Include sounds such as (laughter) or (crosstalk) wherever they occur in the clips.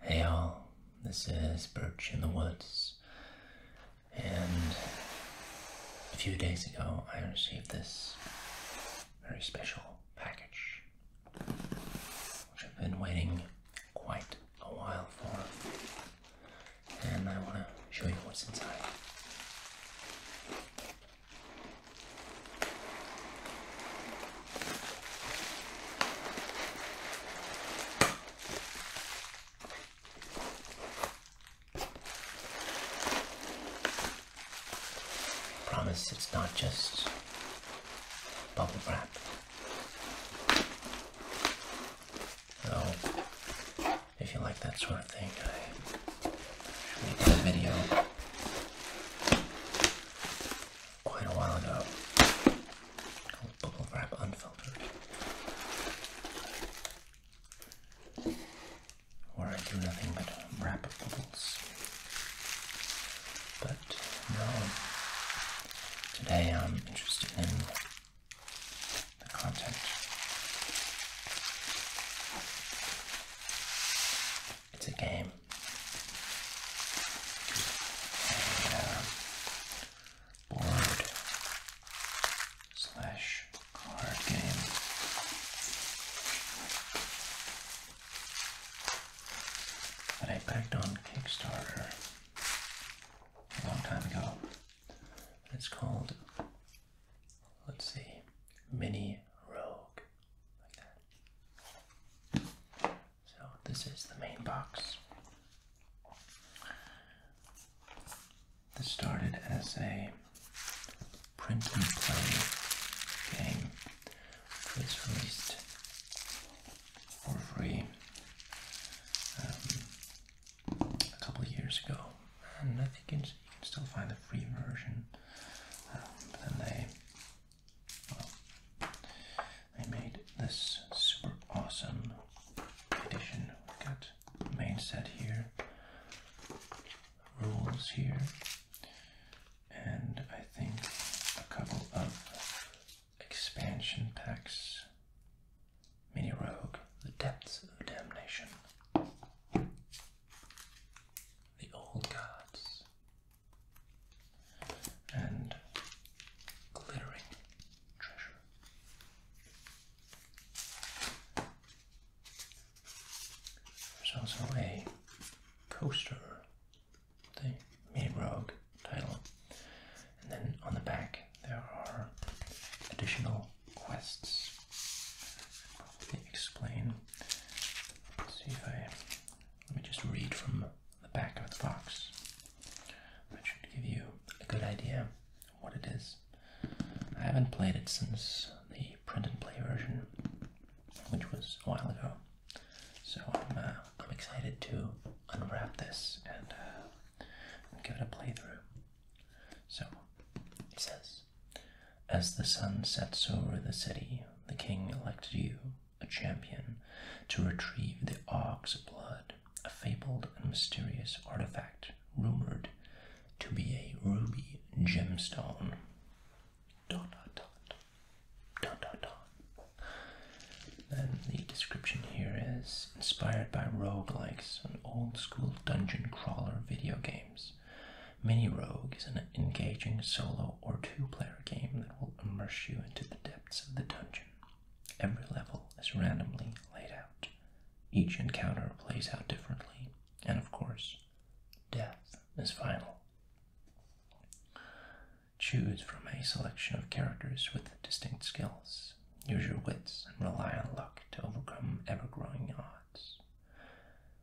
Hey all, this is Birch in the Woods, and a few days ago I received this very special package, which I've been waiting quite a while for, and I want to show you what's inside promise it's not just bubble wrap. Though, if you like that sort of thing, I usually do video quite a while ago called Bubble Wrap Unfiltered, where I do nothing but wrap bubbles. But no, today I'm interested in the content. It's a game. Uh, board slash card game. That I backed on Kickstarter a long time ago. It's called, let's see, Mini Rogue. So this is the main box. This started as a print and play game. was released for free um, a couple of years ago, and I think you can, still find the free version. Um, but then they I made this super awesome edition. We've got main set here, rules here, and I think a couple of expansion packs. Mini Rogue, The Depths of Damnation, The Old Gods, and glittering treasure. There's also a coaster the a rogue title. And then on the back there are additional quests. I'll probably explain. see if I let me just read from the back of the box. That should give you a good idea what it is. I haven't played it since the print and play version, which was a while ago. So I'm, uh, I'm excited to unwrap this and uh, give it a playthrough. So he says, As the sun sets over the city, the king elected you a champion to retrieve the ox blood, a fabled and mysterious artifact rumored to be a ruby gemstone. Then the description here is inspired by roguelikes and old school dungeon crawler video games. Mini Rogue is an engaging solo or two player game that will immerse you into the depths of the dungeon. Every level is randomly laid out. Each encounter plays out differently, and of course, death is final. Choose from a selection of characters with distinct skills. Use your wits and rely on luck to overcome ever growing odds.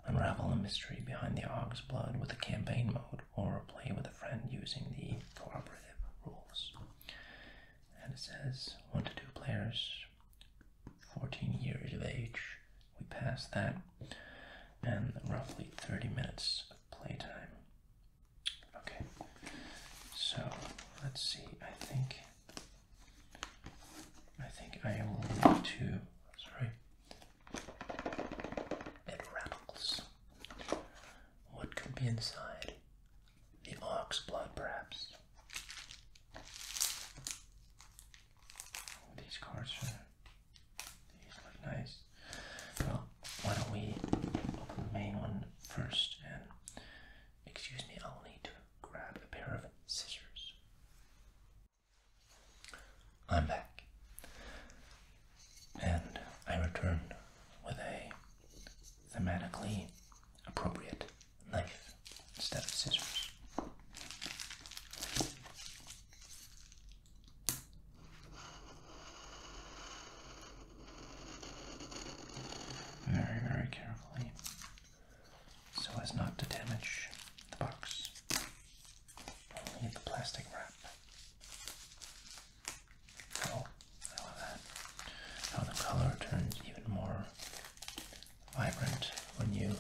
Unravel the mystery behind the Og's Blood with the campaign mode or play with a friend using the cooperative rules. And it says one to two players, 14 years of age. We pass that, and roughly 30 minutes of playtime. Okay, so let's see. I think I think I will need to. Sorry, it rattles. What could be inside? The ox blood, perhaps. these cards are. These look nice. Well, why don't we open the main one first? And excuse me, I'll need to grab a pair of scissors. I'm back and I returned with a thematically appropriate knife instead of scissors. Very, very carefully so as not to damage the box, only the plastic wrap. Oh, How the color turns even more vibrant when you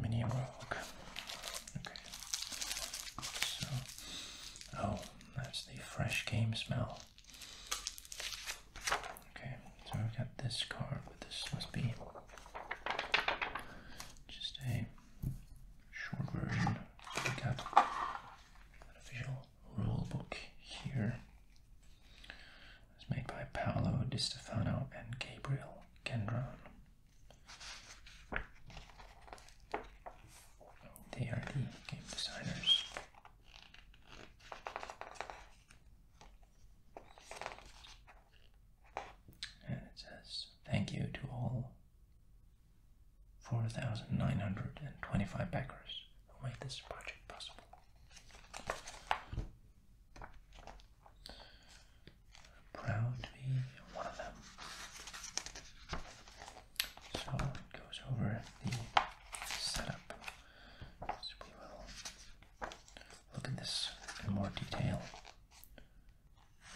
Mini rogue. Okay. So, oh, that's the fresh game smell. Okay, so I've got this card, but this must be just a short version. We got official rule book here. It made by Paolo Di Stefano and Gabriel Gendron. They are the game designers. And it says, Thank you to all 4,925 backers who made this project possible. Proud to be one of them. So it goes over the setup. we will look at this in more detail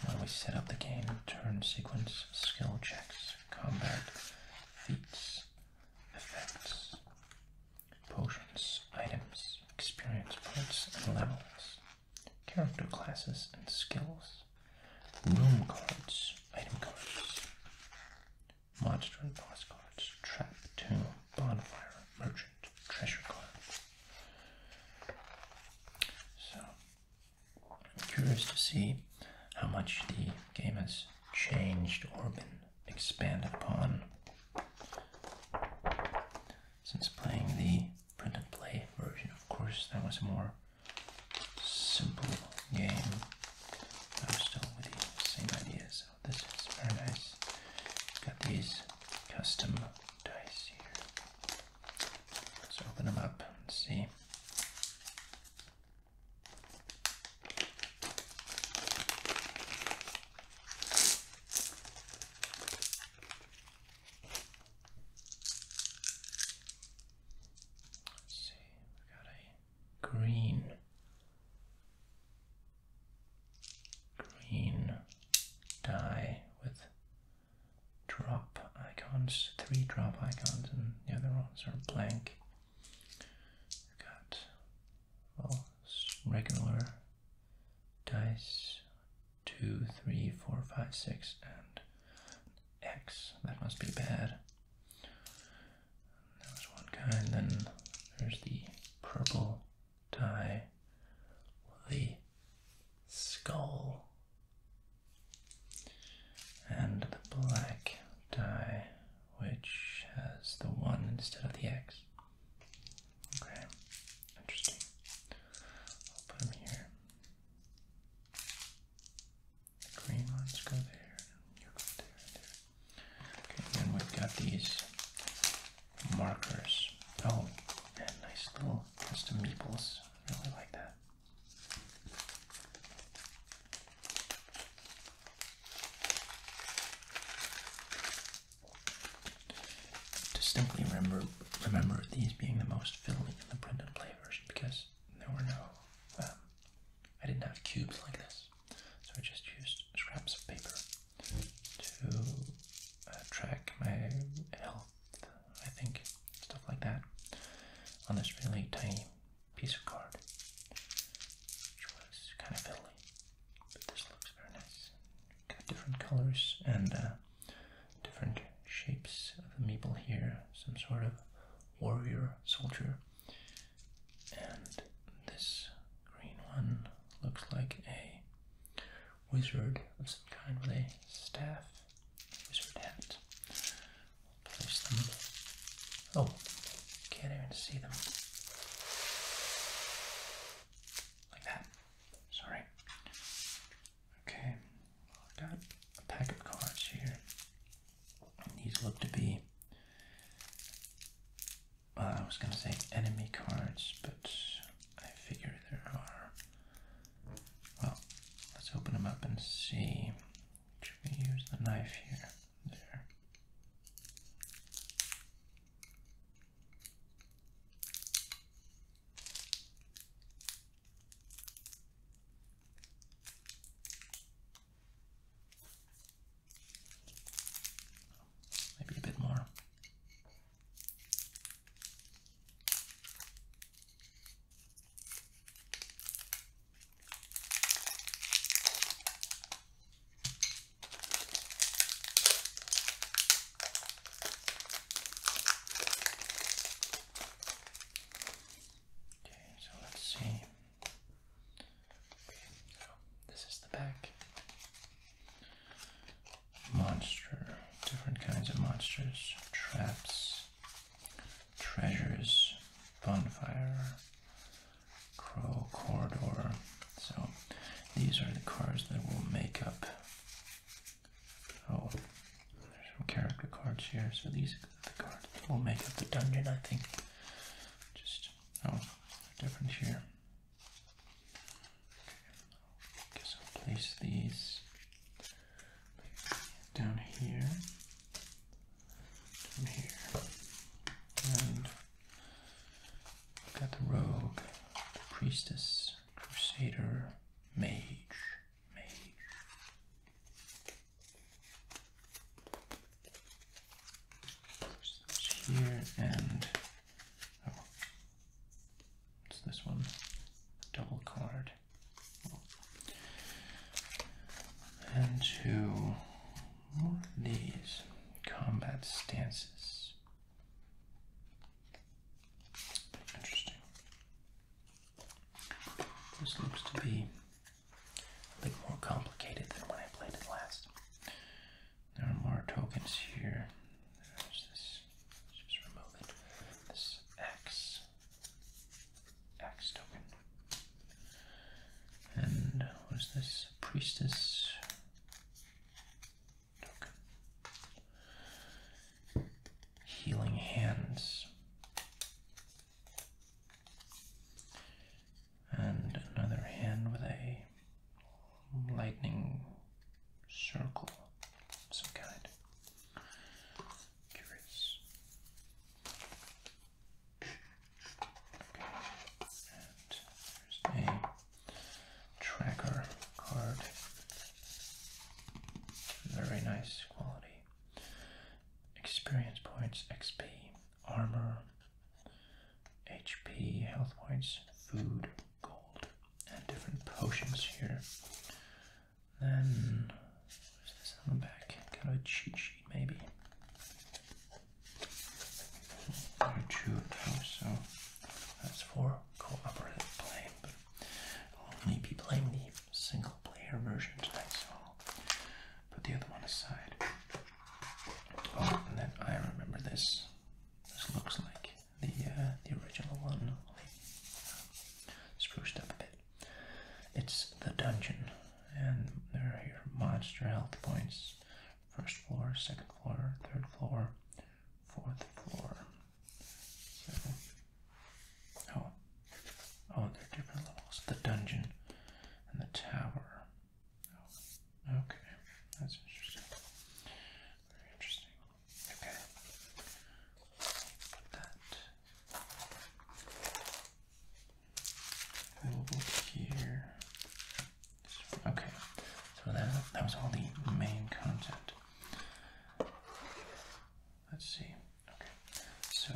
when we set up the game, turn sequence, skill checks, combat, feats, effects, potions, items, experience points and levels, character classes and skills, room cards, item cards, monster and boss cards, trap, tomb, bonfire, merchant, treasure card, so, I'm curious to see how much the game has changed or been expanded upon since playing the print and play version. Of course, that was a more simple game. I am still with the same idea, so this is very nice. Got these custom dice here. Let's open them up and see. Let's see, we got a green, green dye with drop icons, three drop icons, and the other ones are blank. You've got, well, regular dice, two, three, four, five, six, and X. That must be bad. That was one kind. Then there's the purple die, the skull and the black die which has the 1 instead of the X. Okay, interesting. I'll put them here. The green ones go there, you go there Okay, then we've got these markers. Oh, and nice little custom meeples really like that. Distinctly remember remember these being the most filling in the printed play version because there were no um, I didn't have cubes like this, so I just used scraps of paper to uh, track my health I think, stuff like that, on this really tiny piece of card, which was kind of fiddly, but this looks very nice. Got different colors and uh, different shapes of the meeple here, some sort of warrior, soldier, and this green one looks like a wizard of some kind with a staff wizard hat. place them. Oh, can't even see them. Like that. Sorry. Okay, i got a pack of cards here. these look to be. Uh, I was going to say enemy cards, but I figure there are. Well, let's open them up and see. Should we use the knife here? There. Maybe a bit more. Okay, so let's see. Okay, so this is the back. Monster different kinds of monsters, traps, treasures, bonfire, crow corridor. So these are the cards that will make up. Oh, there's some character cards here. So these are the cards that will make up the dungeon, I think. Just, oh, different here. Okay, so place these down here, down here, and got the rogue, priestess, crusader, mage, mage. Place those here and oh, it's this one, double card. And to these combat stances. Interesting. This looks to be a bit more complicated than when I played it last. There are more tokens here. There's this. just remove it. This axe. Axe token. And what is this priestess token? Healing hands. And another hand with a lightning circle of kind curious. Okay. And there's a tracker card. Very nice quality. Experience points, XP, armor, HP, health points, food, gold, and different potions here. Then, what's this on the back? Kind of a cheat sheet, maybe. Two of so that's for cooperative play. But I'll only be playing the single player version tonight, so I'll put the other one aside. Oh, and then I remember this. This looks like the uh, the original one, uh, spruced up a bit. It's the dungeon, and there are your monster health points first floor, second floor, third floor, fourth floor. oh, oh, there are different levels the dungeon and the tower. Oh, okay, that's interesting. Very interesting. Okay. Put that available here. Okay. So that that was all the main content. Let's see. Okay. So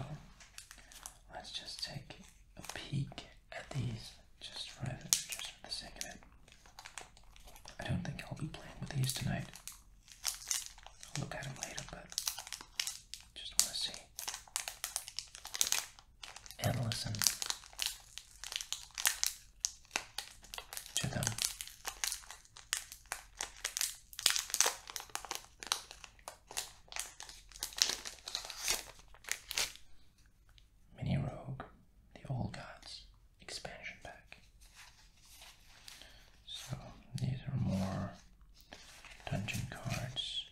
let's just take a peek at these just for the sake of it. I don't think I'll be playing with these tonight. I'll look at them later, but just want to see. And listen to them. Mini Rogue, the Old Gods expansion pack. So these are more dungeon cards.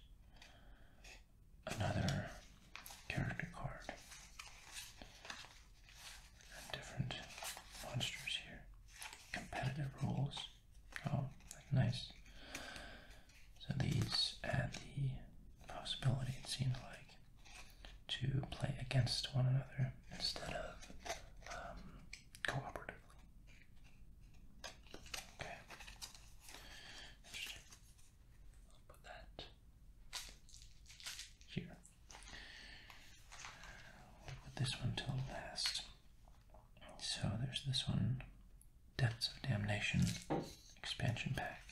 Another character card. different monsters here. Competitive rules. Oh, nice. So these add the possibility, it seems like, to play against one another instead of um, cooperatively. Okay. Interesting. I'll put that here. We'll put this one till last. So there's this one Depths of Damnation expansion pack.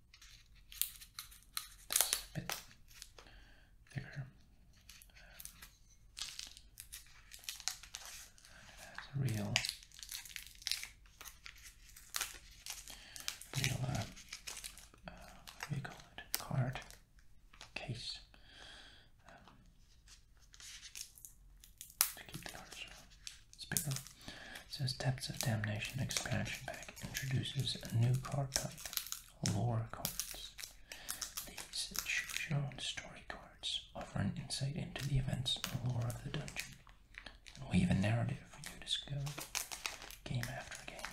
It's a bit bigger. real, real uh, uh, what do you call it? Card case um, to keep the cards spinning. says Depths of Damnation expansion pack introduces a new card type lore cards. These choose your own story cards offer an insight into the events and lore of the dungeon and weave a narrative for you to discover game after game.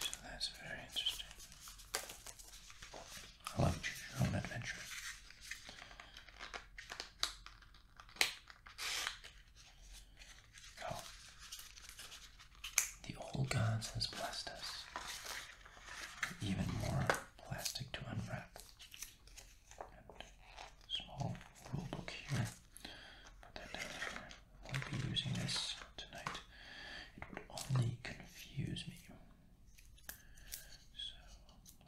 So that's very interesting. I love choose your own adventure. Oh. The old gods has blessed us. Even more plastic to unwrap. small rule here. I won't be using this tonight. It would only confuse me.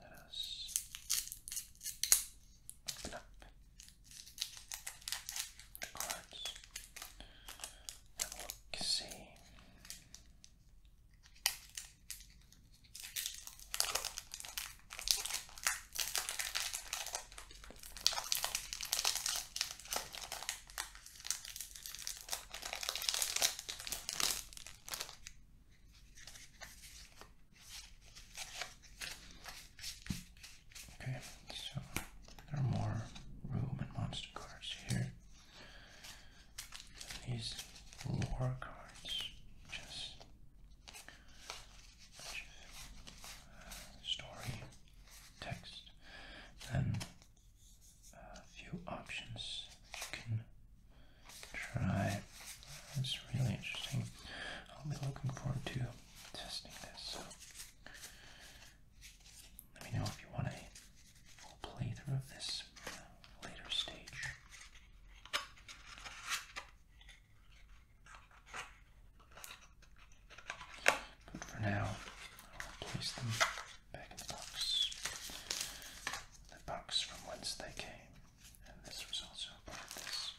Let us open the cards. Have look, see. Okay, so there are more room and monster cards here. These lore cards just uh, story text, then a few options you can try. It's really interesting. I'll be looking forward to testing this. let me know if you want a full playthrough of this later stage. But for now, I'll place them back in the box. The box from whence they came. And this was also a part this.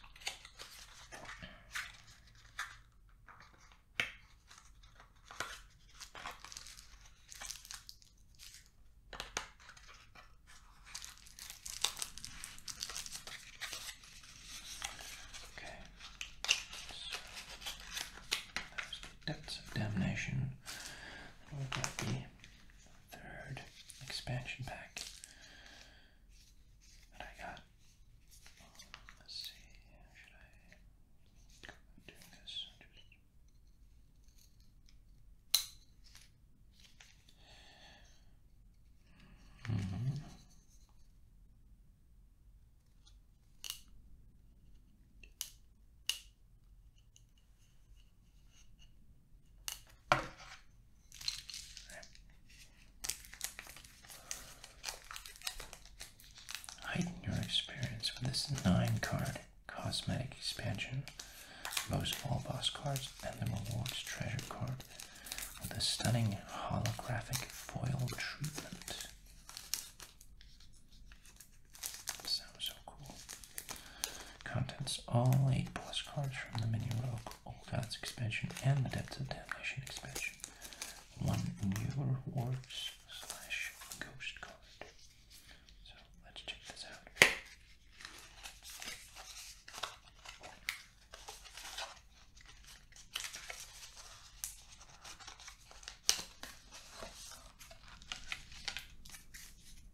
Okay, depths of damnation, third expansion pack that I got. Let's see, should I do this? -hmm. Heighten your experience with this 9 card cosmetic expansion, most all boss cards, and the rewards treasure card with a stunning holographic foil treatment. Sounds so cool. Contents all 8 plus cards from the mini rogue, Olgoth's expansion, and the Depths of Damnation expansion. One new rewards slash ghost card. So let's check this out.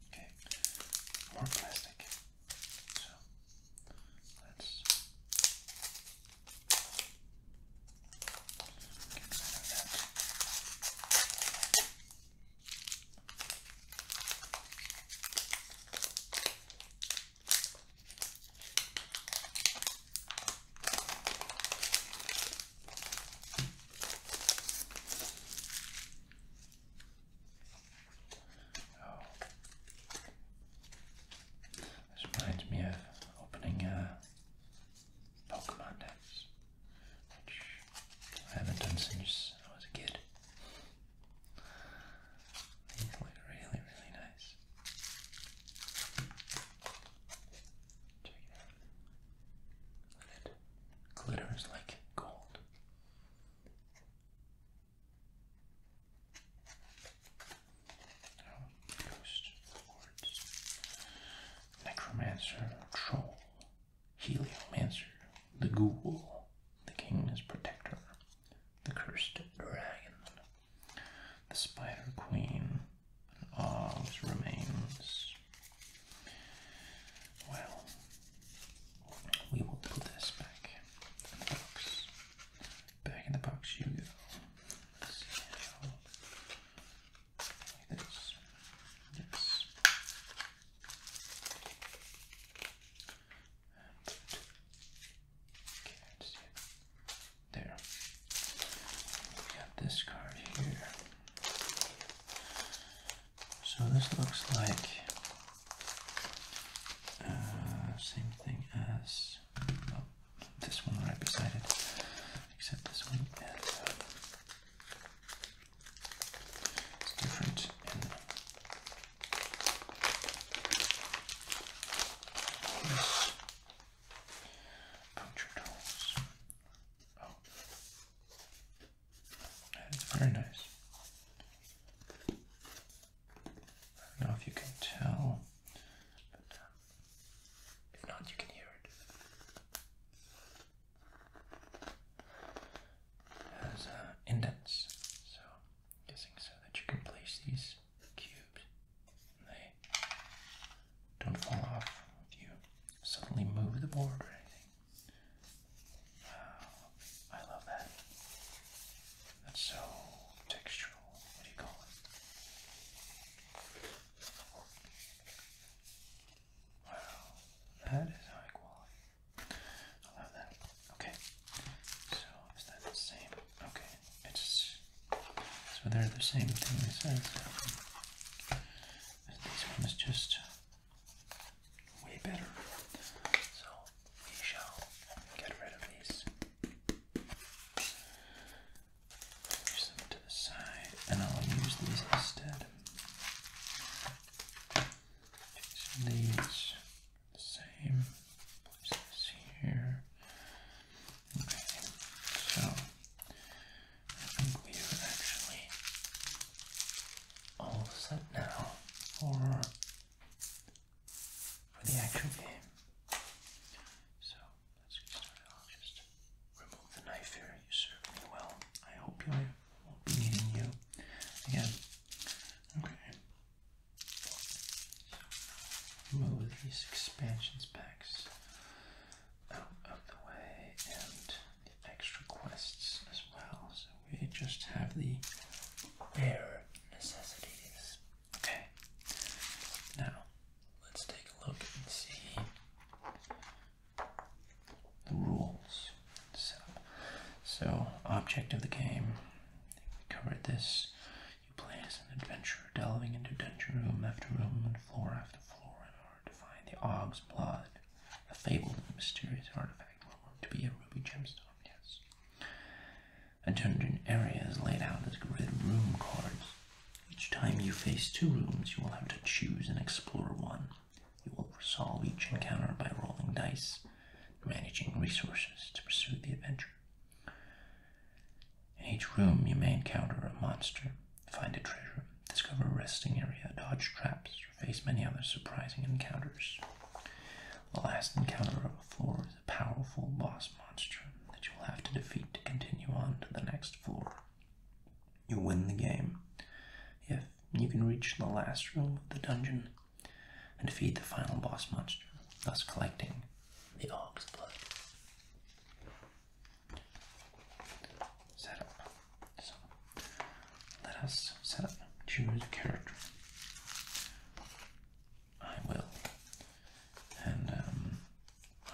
Okay, more plastic. So let's get rid of that. Okay. This reminds me of opening a Pokemon decks, which I haven't done since I was a kid. These look really, really nice. Check it out. Look at it. Glitters like gold. Oh, ghost, wards, necromancer, troll, heliomancer, the ghoul, the king's protector, the cursed dragon, the spider queen, and all's remains. Well, we will put this back in the box. Back in the box you go. There. We got this card here. So this looks like uh, same thing as this one right beside it, except this one is different in this tools. Oh. It's very nice. I don't know if you can tell, but uh, if not, you can hear it. It has uh, indents, so guessing so that you can place these cubes and they don't fall off if you suddenly move the board or anything. Wow, oh, I love that. That's so textural. What do you call it? Wow, that is high quality. I love that. Okay, so is that the same? Okay, it's so they're the same thing. It says. This one just way better. So we shall get rid of these. Use them to the side, and I'll use these instead. These same. Place here. Okay, so I think we are actually all set now for for the actual game. So let's get started. I'll just remove the knife here. You served me well. I hope I won't be needing you again. Okay. So move these expansions packs out of the way and the extra quests as well we just have the bare necessities. Okay, now let's take a look and see the rules So, object of the game, we covered this. You play as an adventurer, delving into dungeon room after room and floor after floor in order to find the Og's blood, a fabled and mysterious artifact rumored to be a ruby gemstone. Yes. Attend in areas laid out as grid room cards. Each time you face two rooms, you will have to choose and explore one. You will resolve each encounter by rolling dice, managing resources to pursue the adventure. In each room, you may encounter a monster, find a treasure, discover a resting area, dodge traps, or face many other surprising encounters. The last encounter of a floor is a powerful boss monster that you will have to defeat to continue on to the next floor. You win the game if you can reach the last room of the dungeon and defeat the final boss monster, thus collecting the Og's Blood. Set up. let us set up. Choose a character. I will. And um,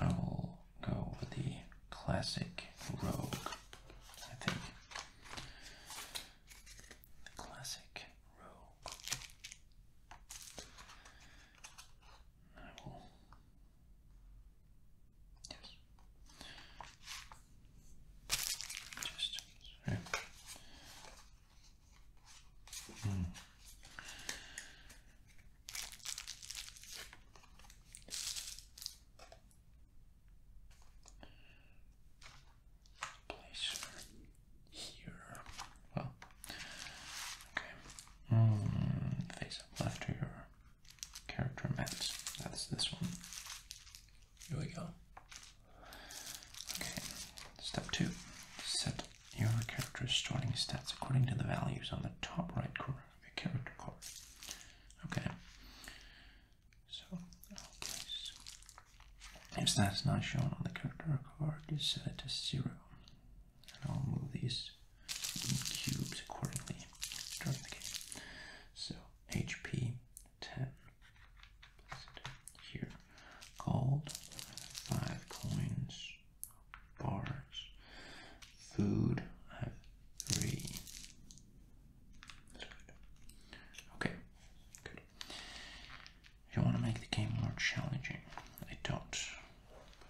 I will go with the classic rogue, I think. classic rogue. I will. Yes. Just Place here. Well, okay. Hmm, face up left to your character mats. That's this one. Here we go. Okay, step two. Set your character's starting stats according to the values on the top right corner of your character card. Okay. So, okay. if that's not shown on the character card, just set it to zero. And I'll move these cubes accordingly during the game. So, HP 10 place here, called Five Coins, Bars, Food, I have three. Okay. good. If You want to make the game more challenging? I don't.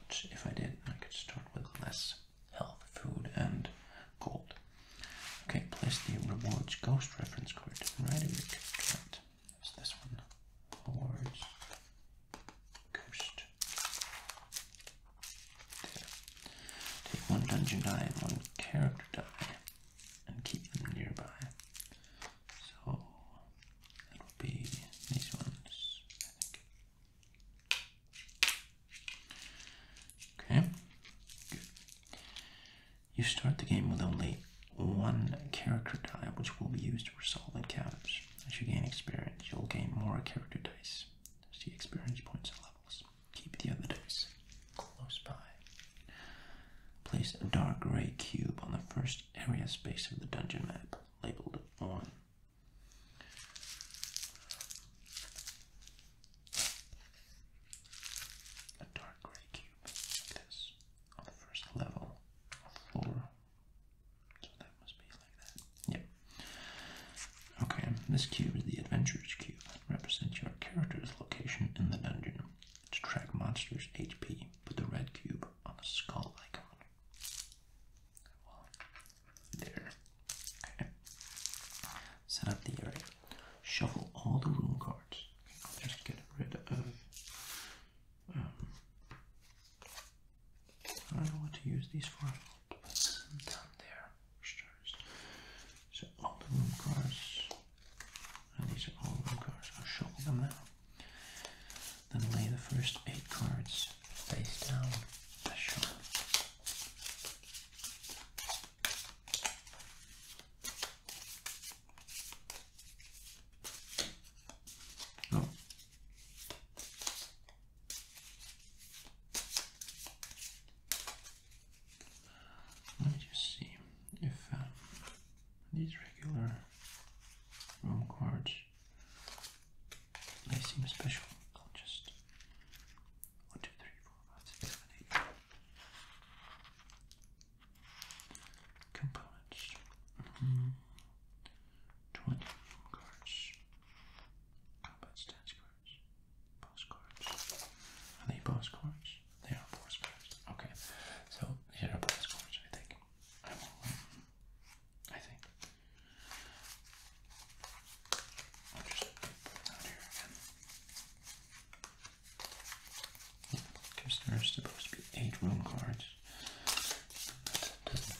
But if I did, I could start with less health, food, and gold. Okay, place the rewards ghost reference card right over your cat. What's this one? Take one dungeon die and one character die and keep them nearby. So that will be these ones, Okay, good. You start the game with only one character die, which will be used for solid counters. As you gain experience, you'll gain more character dice. See experience points and levels. Keep the other dice close by. Place a dark gray cube on the first area space of the dungeon map, labeled 1. A dark gray cube, like this on the first level of floor. So that must be like that. Yep. Okay, this cube is the Adventurer's Cube. It represents your character's location in the dungeon. To track monsters' HP, put the red cube on the skull icon. there. Okay. Set up the area. Shuffle all the room cards I'll just get rid of. Um, I don't know what to use these for. i them down there. Stars. So all the room cards, and these are all room cards. I'll shuffle them now. Then lay the first eight cards face down. I shuffle. No. Let me just see if uh, these regular room cards they seem special. I'll just one, two, three, four, five, six, seven, eight components. Mm-hmm. 20 cards, cards, boss Are they boss They are boss Okay, so here are boss I think. I think. I'll just put it here again. Because there are supposed to be eight room cards.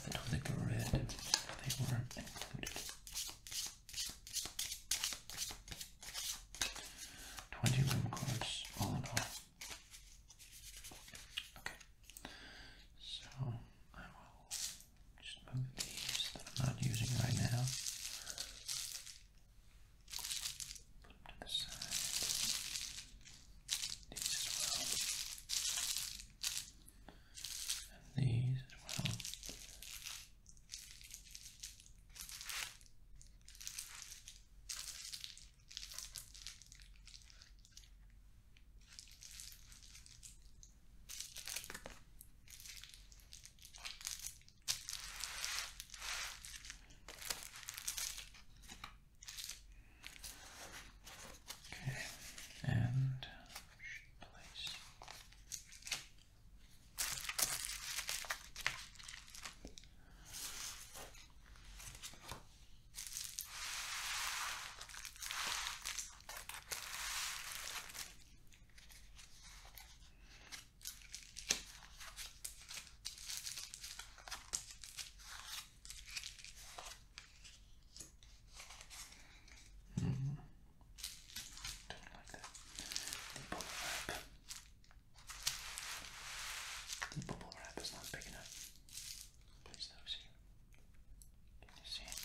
I don't think I read they were included. 20 room cards, all in all. Okay. So I will just move these that I'm not using right now Put them to the side. These as well. And these as well. Right. Okay, and place. Mm -hmm. like that. The bubble wrap. The bubble wrap is not big enough. Place those here. Can you see it?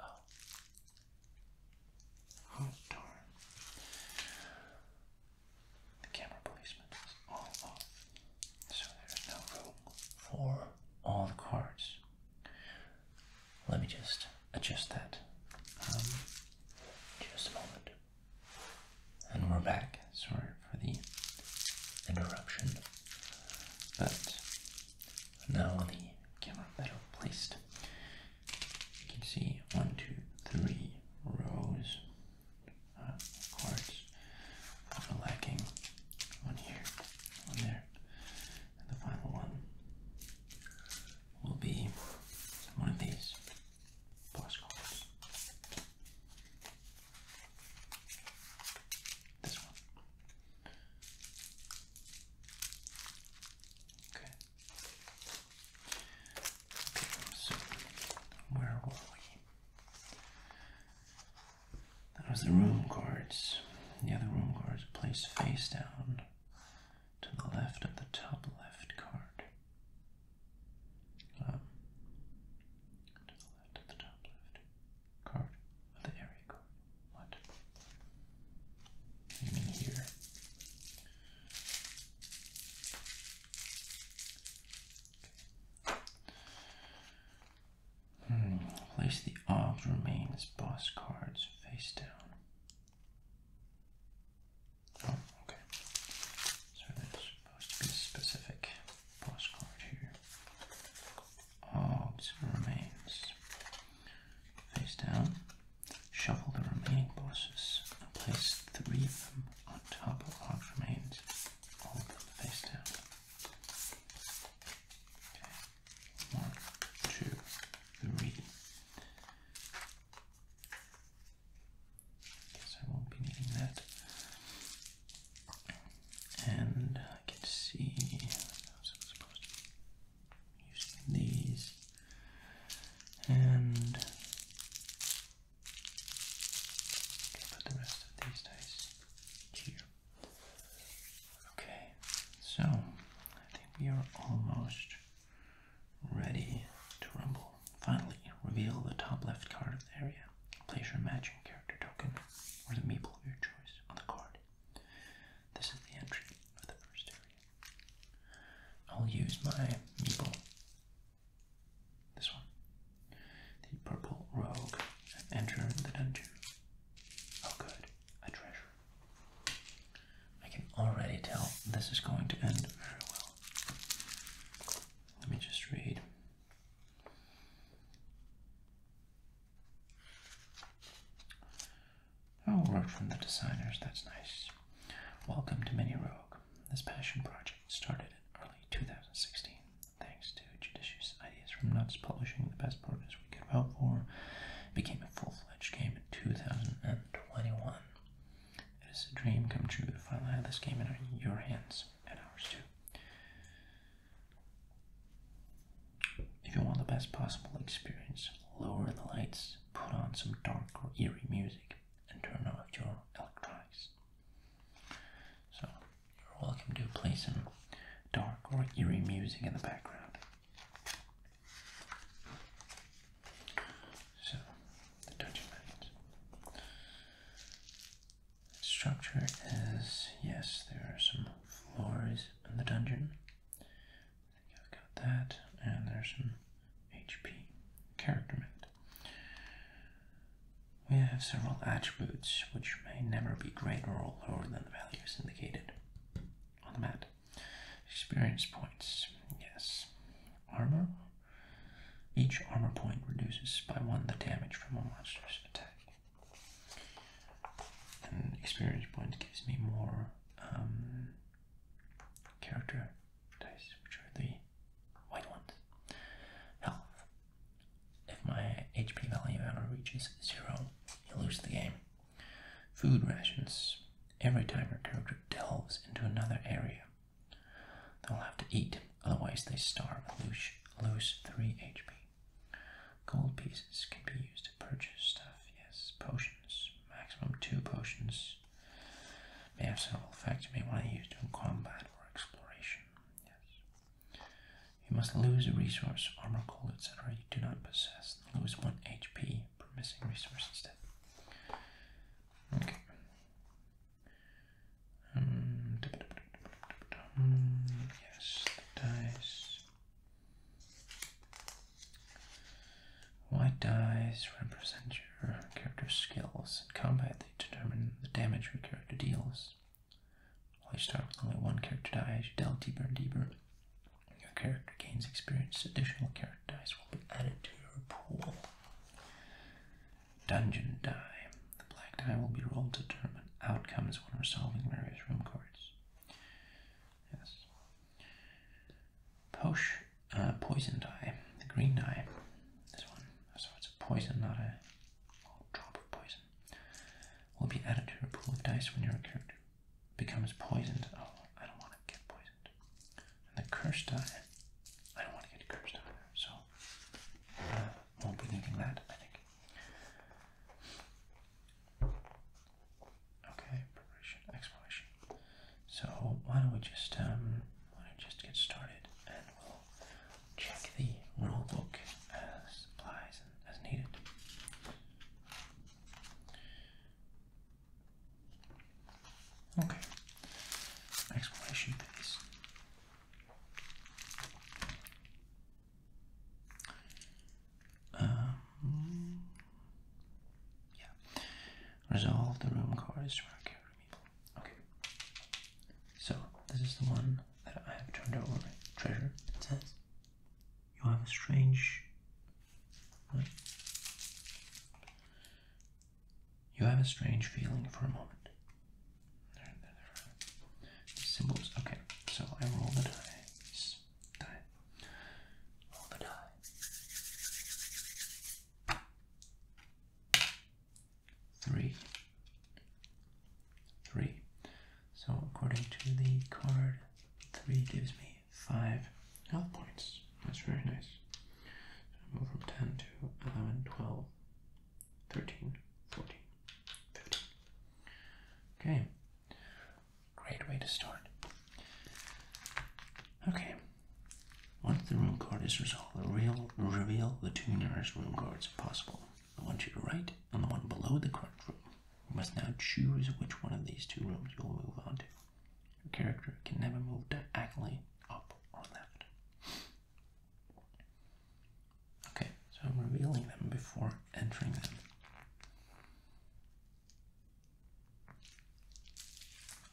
Oh. oh darn. The camera placement is all off, so there's no room for all the cards. Let me just adjust that. Um, just a moment. And we're back. Sorry for the interruption. But now the camera better placed. You can see one, two, three rows uh, cards lacking. One here, one there. And the final one will be one of these postcards. This one. Okay where were we? That was the room cards. The other room cards placed face down to the left of the top left card. Um, to the left of the top left card of the area card. What? You here? Hmm, place the ob's remains boss cards face down. Oh, okay. So there's supposed to be specific boss card here. Ob's remains face down. Shuffle the remaining bosses and place three of them on top of what remains, all of face down. one, two, three. Guess I won't be needing that. And I can see I'm supposed to be using these. And Okay, put the rest of these dice here. Okay, so I think we are almost ready to rumble. Finally, reveal the top left card of the area. Place your matching character token or the meeple of your choice on the card. This is the entry of the first area. I'll use my meeple this one. The purple rogue. Enter the dungeon. Oh, good. A treasure. I can already tell this is going to end very well. Let me just read. Oh, word from the designers, that's nice. Welcome to Mini Rogue. This passion project started in early 2016, thanks to judicious ideas from Nuts Publishing. The best progress we could hope for became a full-fledged game in 2021. It is a dream come true to finally have this game in your hands and ours too. If you want the best possible experience, lower the lights, put on some dark or eerie music, and turn off your electronics. So you're welcome to play some dark or eerie music in the background. So the Dungeon Structure is yes, there are some floors in the dungeon. I think I've got that, and there's some HP character mats. We have several attributes which may never be greater or lower than the values indicated on the map. Experience points, yes. Armor. Each armor point reduces by one the damage from a monster's attack. An experience point gives me more um, character dice, which are the white ones. Health. If my HP value ever reaches zero, you lose the game. Food rations. Every time your character delves into another area, they'll have to eat, otherwise they starve and lose, 3 HP. Gold pieces can be used to purchase stuff, yes. Potions, maximum 2 potions. May have several effects you may want to use during combat for exploration. Yes. You must lose a resource, armor, coal, etc. you do not possess. Lose 1 HP per missing resource instead. Okay. Um, yes, dice. White dice represent your character's skills. In combat, determine the damage your character deals. When you start with only one character die, as you delve deeper and deeper, your character gains experience. Additional character dice will be added to your pool. Dungeon die. The black die will be rolled to determine outcomes when resolving various room cards. Yes. Posh, uh, poison die. The green die. This one so it's a poison, not a drop of poison, will be added to your pool of dice when your character becomes poisoned. Oh, I don't want to get poisoned. And the curse die, I don't want to get cursed either, so uh, won't be needing that, I think. Okay, preparation, exploration. So why don't we just um, why don't we just get started, and Check the rulebook, book as needed. Okay. Explanation base. Um, yeah. Resolve the room cards Okay. So this is the one that I have turned over. Treasure. It says you have a strange. You have a strange feeling for a moment. There, there, there. symbols. Okay, so I roll the dice. Die. Roll the die three, three. So according to the card, three gives me five health points. That's very nice. I move from 10 to 11, 12, 13, 14, Okay, great way to start. Okay, once the room card is resolved, the real, reveal the two nearest room cards if possible, the one to your right and the one below the current room. You must now choose which one of these two rooms you will move on to. Your character can never move diagonally up or left. Okay, so I'm revealing them before entering them.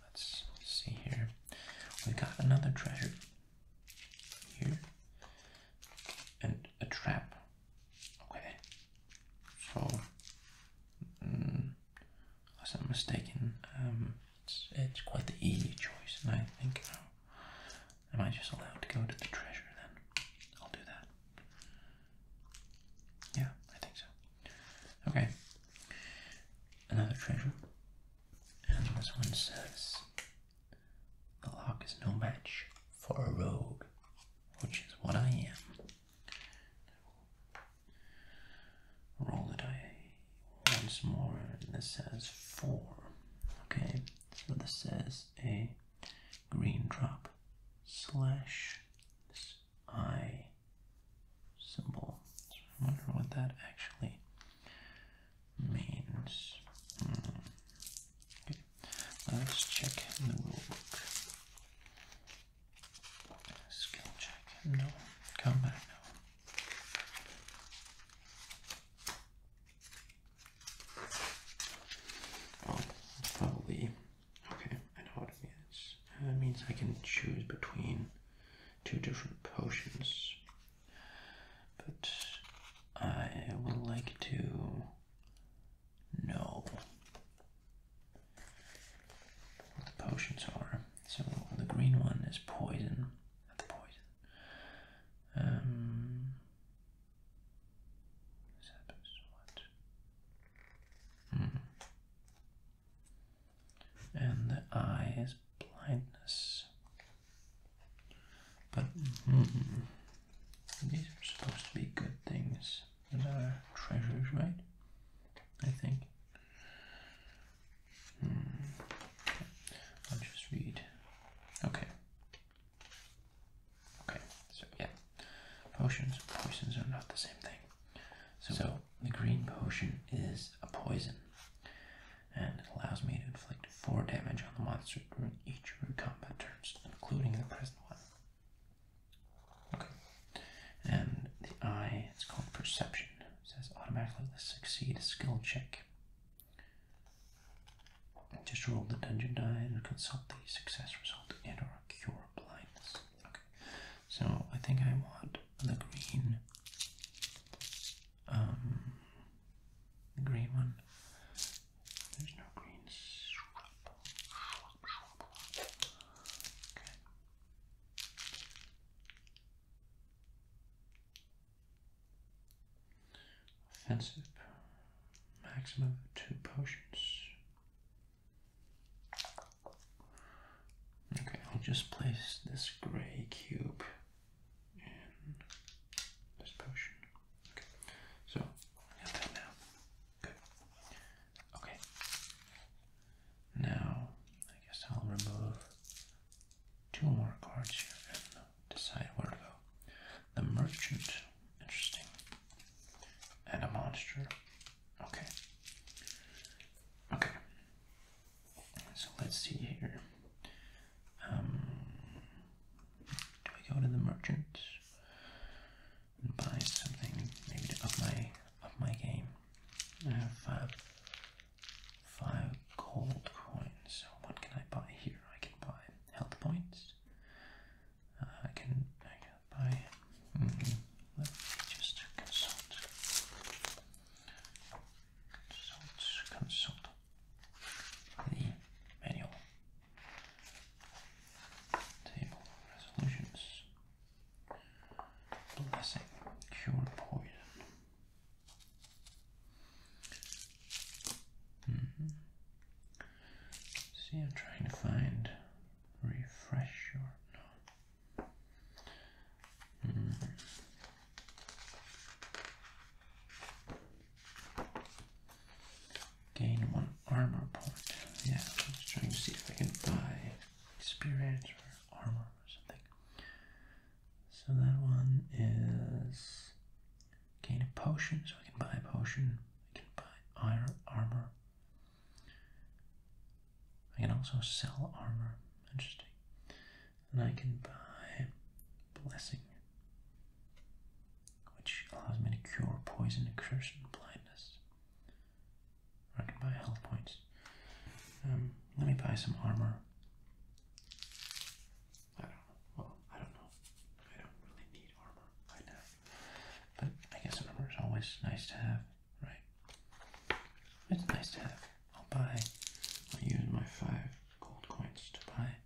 Let's see here. We've got another treasure here and a trap. Okay, so unless mm, I'm mistaken, um, it's, it's quite the easy choice, and I think am I just allowed to go to the treasure then? I'll do that. Yeah, I think so. Okay, another treasure, and this one says the lock is no match for a rogue, which is what I am. Roll the die once more, and this says four. Okay, so this says a green drop slash this symbol. So I wonder what that actually means. Hmm. Let's check the rulebook. Skill check. No. Combat. No. Oh, probably. Okay, I know what it means. That uh, means I can choose between two different potions. But I would like to know what the potions are. So the green one is poison. the poison. this um, happens what? Hmm. And the eye is blindness. But hmm, these are supposed to be good things that are treasures, right? I think. Hmm. I'll just read. Okay. Okay, so yeah. Potions, poisons are not the same thing. so the green potion is a poison and it allows me to inflict 4 damage on the monster during each of root combat turns, including the present one. Okay. And the eye, it's called Perception. says automatically succeed skill check. Just roll the dungeon die and consult the success result and or cure blindness. Okay. So I think I want the green. Um, the green one. There's no green. Okay. Offensive. Maximum two potions. Okay, I'll just place this gray cube this potion. Okay, so I got that now. Good. Okay. Now I guess I'll remove two more cards here and decide where to go. The merchant, interesting, and a monster. Okay. Okay. So let's see here. Um, do I go to the merchant and buy something maybe to up my up my game? I have five five gold coins. what can I buy here? I can buy health points. Uh, I can buy. Hmm, let me just consult consult the manual. Table resolutions. Blessing. Cure poison. Mm-hmm. See, I'm trying to find refresh mm-hmm. Gain one armor point. Yeah, I'm just trying to see if I can buy experience or armor or something. So that one is gain a potion, so I can buy a potion. I can buy iron armor. I can also sell armor. Interesting and I can buy Blessing, which allows me to cure poison, incursion, blindness. I can buy health points. Um, let me buy some armor. I don't know. Well, I don't know. I don't really need armor right now. But I guess armor is always nice to have, right? It's nice to have. I'll buy, I'll use my five gold coins to buy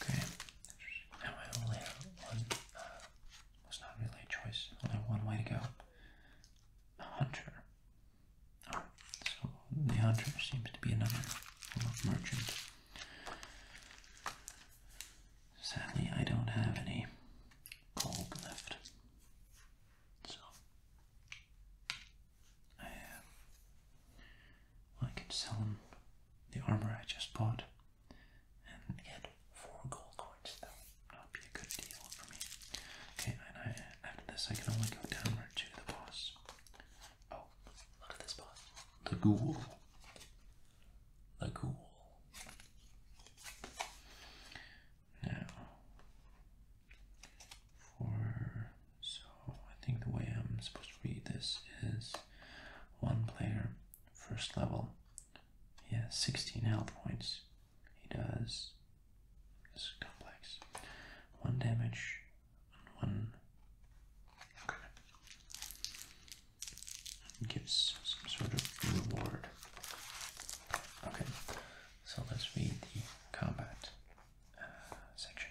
Okay, now I only have one, uh, was not really a choice, only one way to go. A hunter. so the hunter seems to be another merchant. Sadly, I don't have any gold left. So, I can sell him the armor I just bought and get four gold coins. That would be a good deal for me. Okay, and after this, I can only go downward to the boss. Oh, look at this boss. The ghoul. The ghoul. Now, for so I think the way I'm supposed to read this is one player first level he has 16 health points he does this complex one damage on one okay gives some sort of reward okay so let's read the combat uh, section.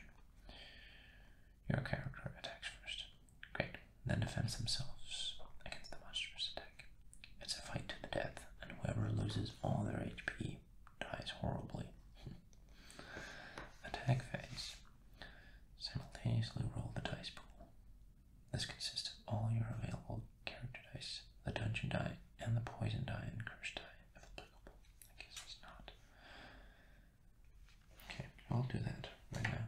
Your character attacks first. Great. Then defends themselves against the monster's attack. It's a fight to the death, and whoever loses all their HP dies horribly. (laughs) attack phase. Simultaneously roll the dice pool. This consists of all your available character dice, the dungeon die, and the poison die and curse die, if applicable. I guess it's not. Okay, I'll do that right now.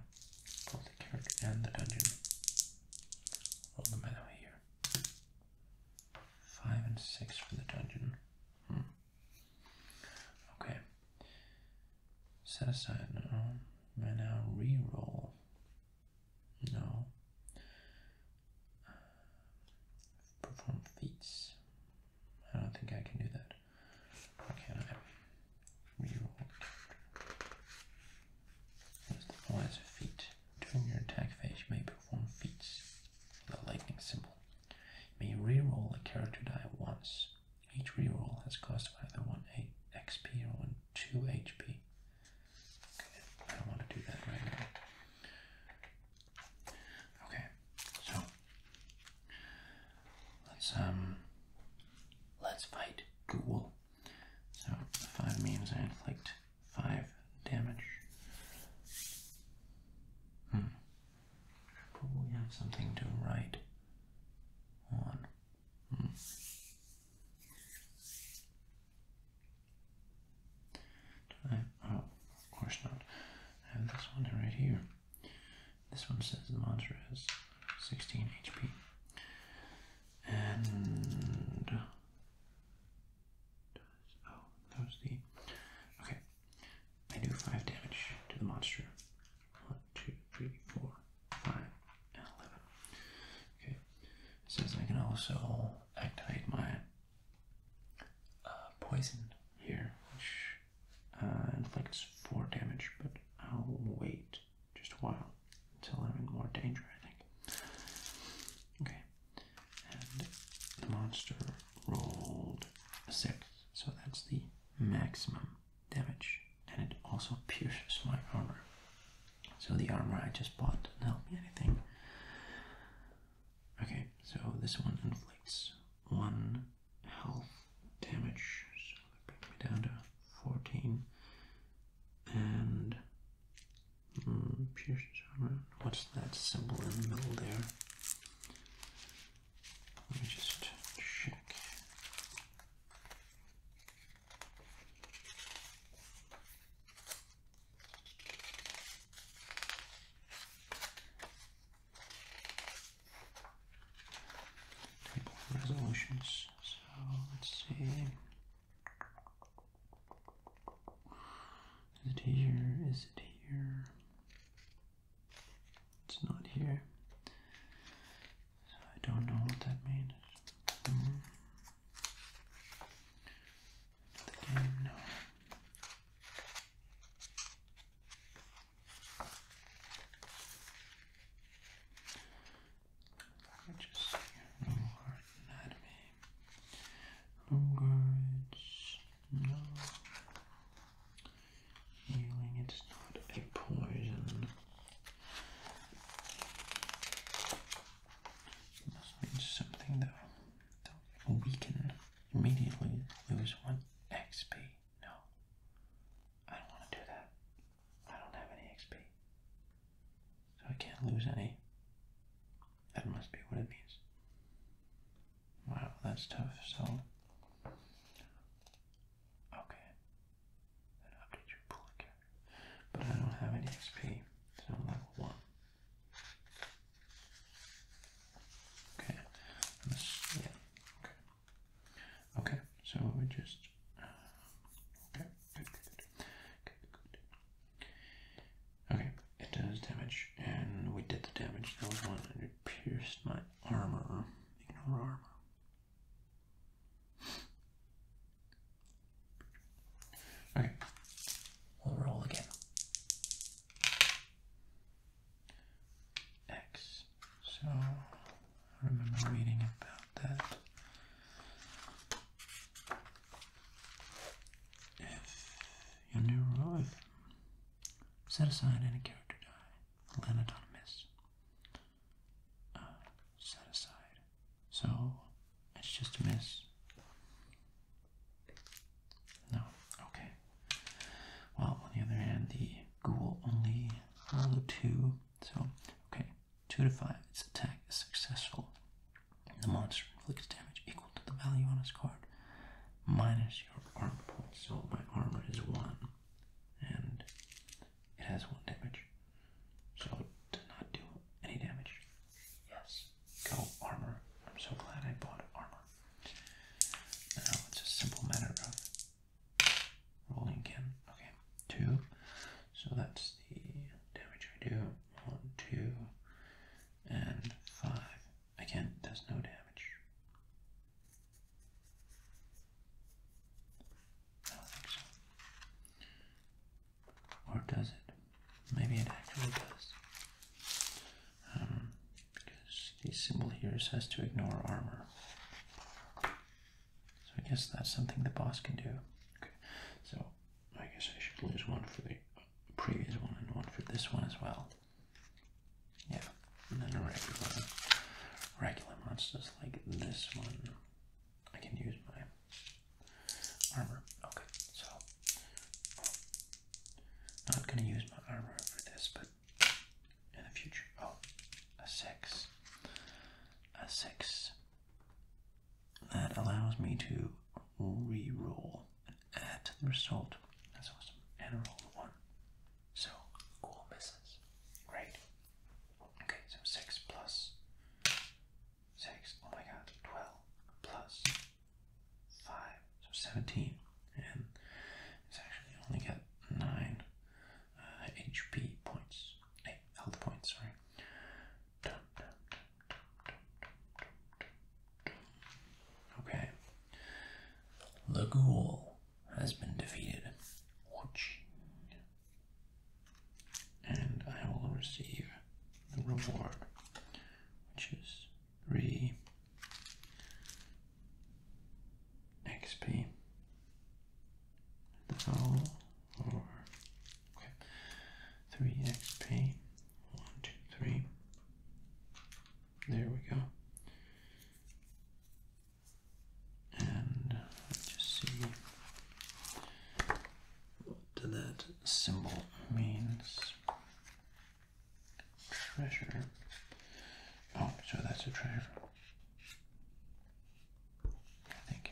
Both the carrot and the dungeon. Roll them out here. Five and six for the dungeon. Hmm. Okay. Set aside now. Right now, re-roll. No. perform feats. I don't think I can do that. Why can't I reroll? As the player's feet during your attack phase, you may perform feats with a lightning symbol. You may reroll a character die once. Each reroll has cost either one XP or one two HP. Okay, I don't want to do that right now. Okay, so let's um let's fight ghoul. So five means I inflict five damage. Hmm. Probably have something to write on. Hmm. Oh, of course not. I have this one right here. This one says the monster has 16 HP. And. Oh, that was the. Okay. I do 5 damage to the monster. 1, 2, 3, 4, 5, and 11. Okay. It says I can also activate my uh, here, which uh, inflicts four damage, but I'll wait just a while until I'm in more danger, I think. Okay, and the monster rolled a six, so that's the maximum damage, and it also pierces my armor. So the armor I just bought does not help me anything. Okay, so this one inflicts one health damage, so that brings me down to 14. And mm, armor. What's that symbol in the middle there? Let me just check. Table of resolutions. So let's see. Is it here? Is it here? It's not here. So I don't know what that means. The game, no just see Lower anatomy. Homeguards. No. Healing, it's not a poison. must mean something that will immediately lose one XP. No. I don't want to do that. I don't have any XP. So I can't lose any. That must be what it means. Wow, that's tough. So, okay. update your pool again. But I don't have any XP, so level 1. Okay. yeah. Okay. Okay. So we just. Uh, okay. Good, good, good. Okay. Okay. It does damage, and we did the damage. That was one, and it pierced my armor. Ignore armor. Okay, we'll roll again. X. So I remember reading about that. If your new rule set aside any character die, land autonomous. Uh, set aside. So it's just a miss. No. Okay. Well, on the other hand, the ghoul only rolled two. So, okay, two to five. Its attack is successful. The monster inflicts damage equal to the value on its card minus your armor points. So my armor is one, and it has one damage. So it did not do any damage. Yes. Go armor. I'm so glad I bought armor. Now it's a simple matter of rolling again. Okay, two. So that's the damage I do. One, two, and five. Again, does no damage. I don't think so. Or does it? Maybe it actually does um, because this symbol here says to ignore armor. So I guess that's something the boss can do. Okay, so I guess I should lose one for the previous one and one for this one as well. Yeah, and then regular, regular monsters like this one. I can use my armor. Okay, so I'm not gonna use my armor for this, but in the future. Oh, a six. A six. That allows me to re-roll and add the result. That's awesome. And roll one. So cool misses. Great. Okay, so six plus six. Oh my god, twelve plus 5, so 17. And it's actually only got 9 HP uh, points, 8 health points, sorry. Okay. Lagool has been defeated. And I will receive the reward, which is three XP. That's all. okay, three XP. One, two, three. There we go. And let's see what that symbol means treasure. Oh, so that's a treasure. I think.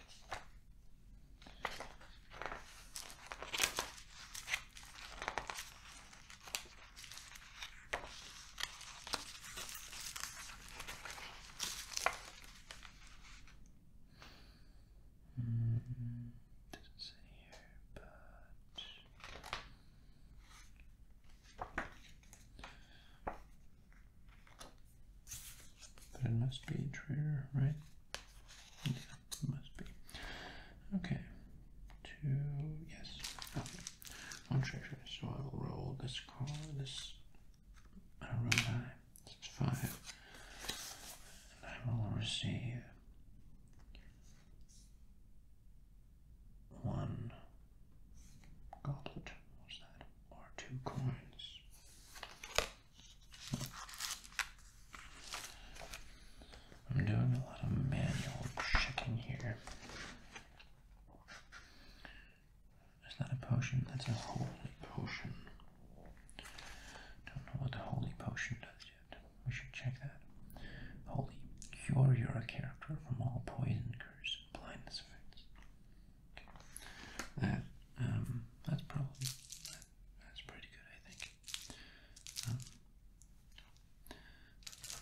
Mm, doesn't say here, but it must be a trigger, right? must be. Okay. Two, yes. Okay. One treasure. So I will roll this card. This. I roll die. It's five. And I will receive one goblet, what's that? Or two coins. I'm doing a lot of manual checking here. That's not a potion? That's a holy potion. Don't know what the holy potion does yet. We should check that. Holy cure your from all poison, curse, and blindness effects. That um, that's probably that's pretty good, I think. Um,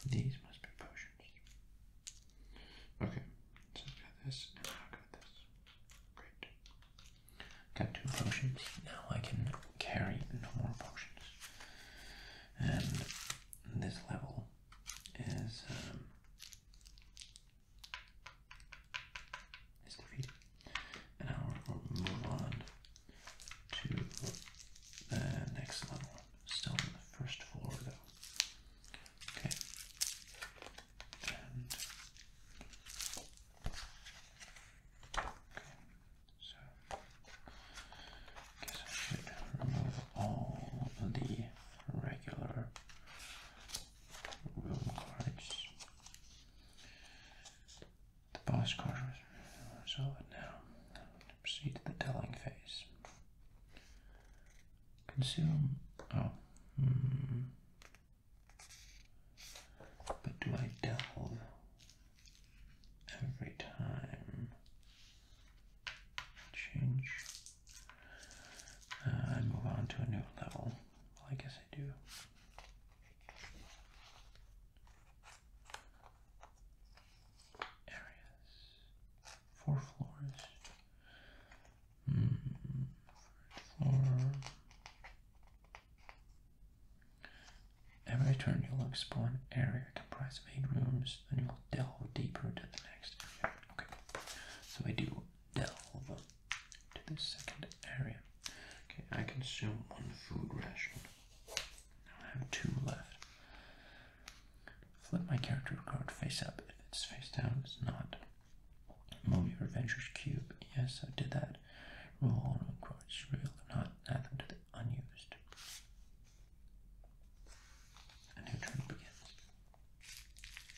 these must be potions. Okay, so i got this, and i got this. Great. Got two potions. Now I can carry no more potions. And this level is um, is defeated. And now will move on to the next level. Still on the first floor though. Okay. okay. So Guess I should remove all the regular room cards. The boss card was solid now. Proceed to the telling phase. Consume. Oh. Hmm. But do I delve every time? change. I uh, move on to a new level. I guess I do. Areas. Four floors. Mm, floor. Every turn you'll explore an area comprised of eight rooms, and we will delve deeper to the next area. Okay, so I do delve to the second area. Okay, I consume one food ration. Now I have two left. Flip my character card face up. If it's face down, it's not. Move your adventurer's cube. Yes, I did that. Roll on cards, real not, add them to the unused a new turn begins.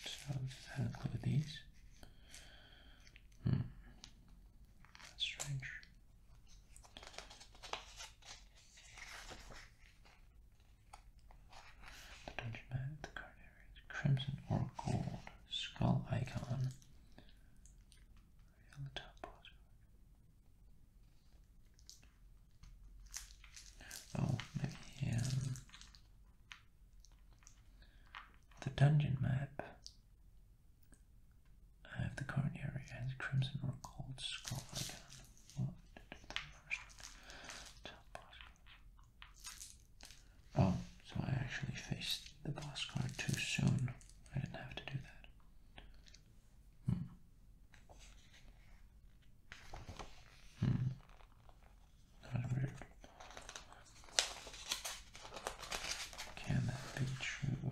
So does that include these? Hmm. strange. The dungeon map, the card crimson or gold. Skull icon. on the top Oh, maybe um, the dungeon map. I the current area has crimson or gold scroll icon. Well, did the first one. Oh, so I actually faced the boss card too soon. I didn't have to do that. Hmm. Hmm. Not weird. Can that be true?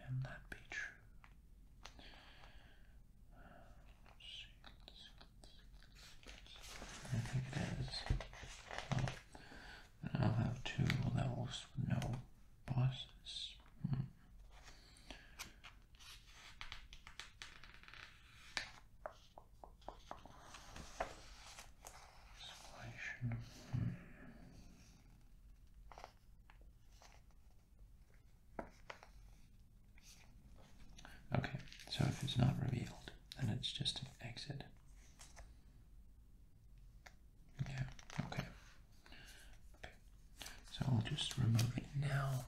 Can that be true? I think it is. And I'll have two levels with no bosses. Hmm. hmm. Okay, so if it's not revealed, then it's just an exit okay. Okay. So I'll just remove it now.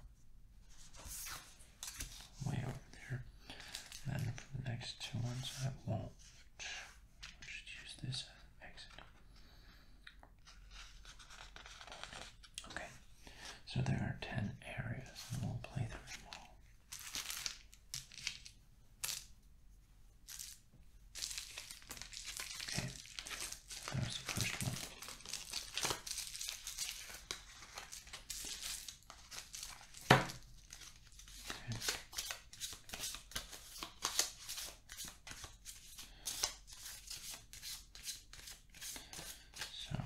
Way over there. then for the next two ones I won't. just use this exit. Okay. So there are ten areas and we'll play through them all. Okay, there's the first one. Okay. So,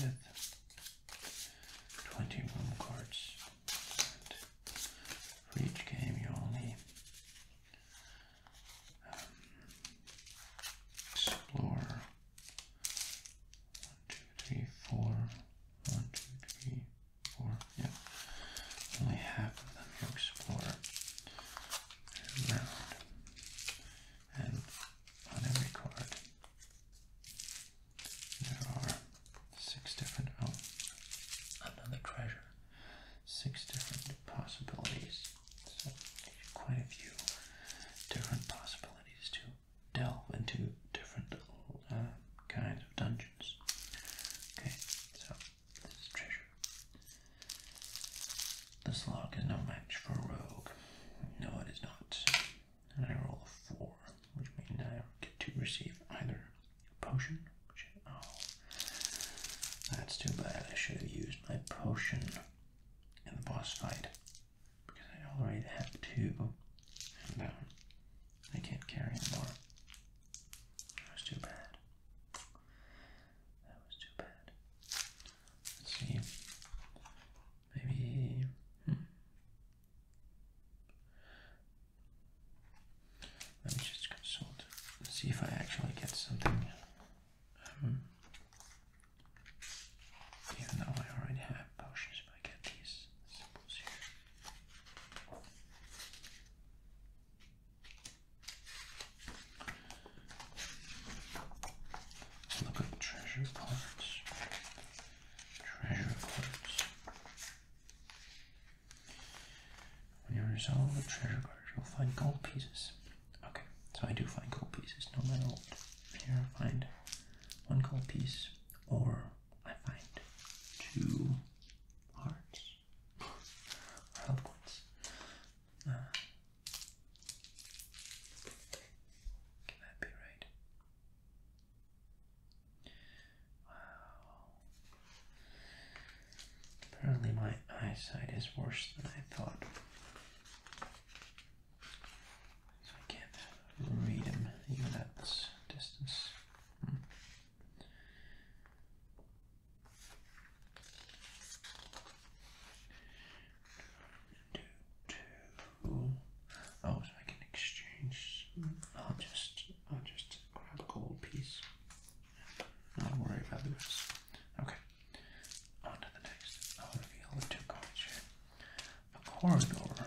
with 20 cards for each game, you only um, explore one, two, three, four. One, two, three, four. Yep. Only half of them you explore and on every card. There are Six different, oh, another treasure. Six different possibilities. So, quite a few different possibilities to delve into different uh, kinds of dungeons. Okay, so this is treasure. This log is no match for a rogue. No, it is not. I roll a four, which means I get to receive either Potion? Oh, that's too bad. I should have used my potion in the boss fight because I already have two. I can't carry anymore. That was too bad. That was too bad. Let's see. Maybe. Hmm. Let me just consult see if I actually get something. Hmm. even though I already have potions, but I get these symbols here. look at treasure cards. Treasure cards. When you resolve a treasure card, you'll find gold pieces. Okay, so I do find gold pieces no matter what. Here I find one gold piece, or I find two hearts or (laughs) health ones. Ah. can that be right? Wow. Apparently my eyesight is worse than I thought. So I can't read him even at this distance. Hmm. Do, do. Oh, so exchange. I'll just, I'll just grab a gold piece. Not worry about the rest. Okay. On the next. I'll reveal the two cards A corridor.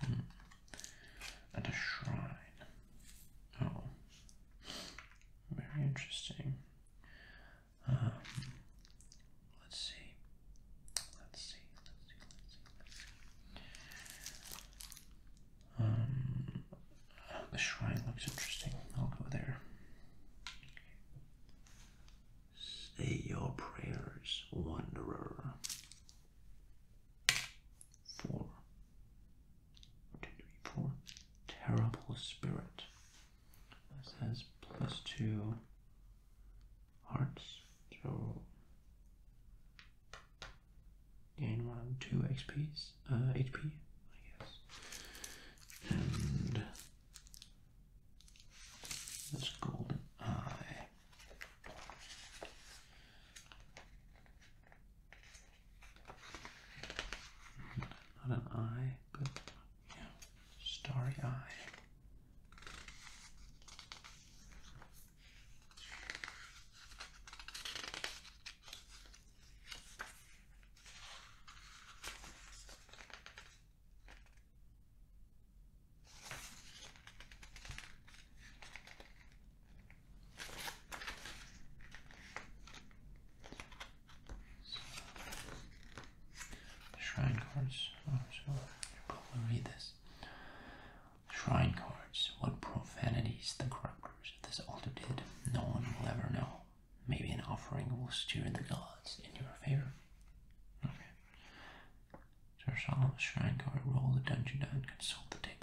Hmm. And a shrine. Oh. Very interesting. Um, let's see. Let's see. Let's see. Let's see. Let's see. Um, the shrine looks interesting. I'll go there. Say your prayers, wanderer. Four. One, two, three, four. Terrible spirit. This has plus two hearts. So Gain one, two XPs, uh, HP, I guess. And this golden eye. Not an eye, but yeah, starry eye. The shrine cards. Oh, so you probably read this. Shrine cards. What profanities the corrupt markers at this altitude, no one will ever know. Maybe an offering will stir the gods in your favor. Okay. Sir Solomon's shrine guard, roll the dungeon down, consult the table.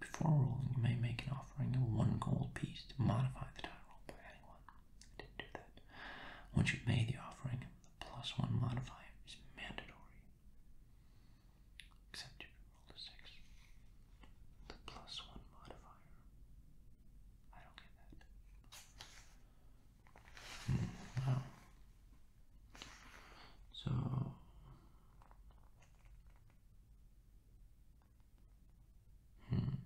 Before rolling, you may make an offering of one gold piece to modify the die roll by one. I didn't do that. Once you've made the offering, the plus one modifier is mandatory. Except you rolled six. The plus one modifier. I don't get that. Hmm, wow. So hmm.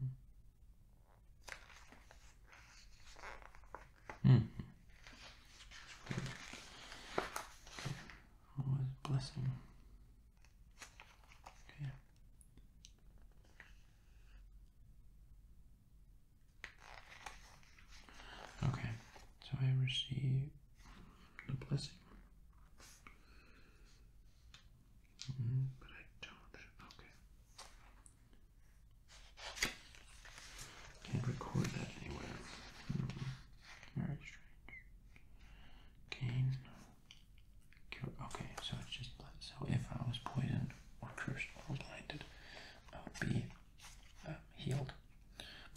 Hmm. What was blessing? Okay. Okay, so I received the blessing. Mm-hmm. but I don't. Okay. Can't record that anywhere. Mm-hmm. very strange. Gain Okay, so it's just blood. So if I was poisoned or cursed or blinded, I would be um, healed.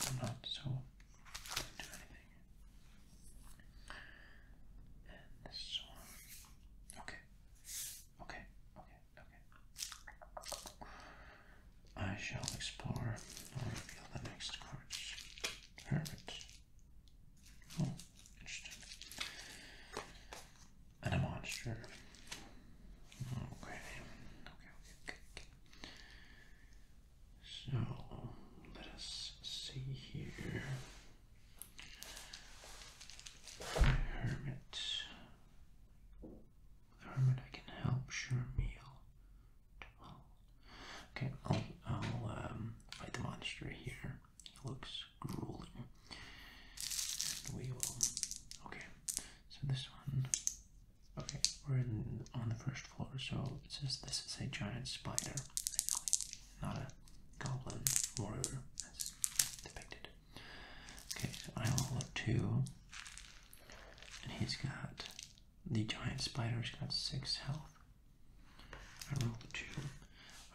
I'm not, so I not do anything. And this one. Okay. Okay. Okay. Okay. I shall explore or reveal the next cards. Hermit. Oh, interesting. And a monster. Okay. Okay, okay, okay. So let us see here. hermit. hermit I can help, sure meal. Okay, I'll, um, fight the monster here. It looks grueling. And we will. Okay, so this one. Okay, we're in, on the first floor, so it says this is a giant spider, not a goblin warrior as depicted. Okay, so I level two, and he's got the giant spider's got six health. I rolled a two.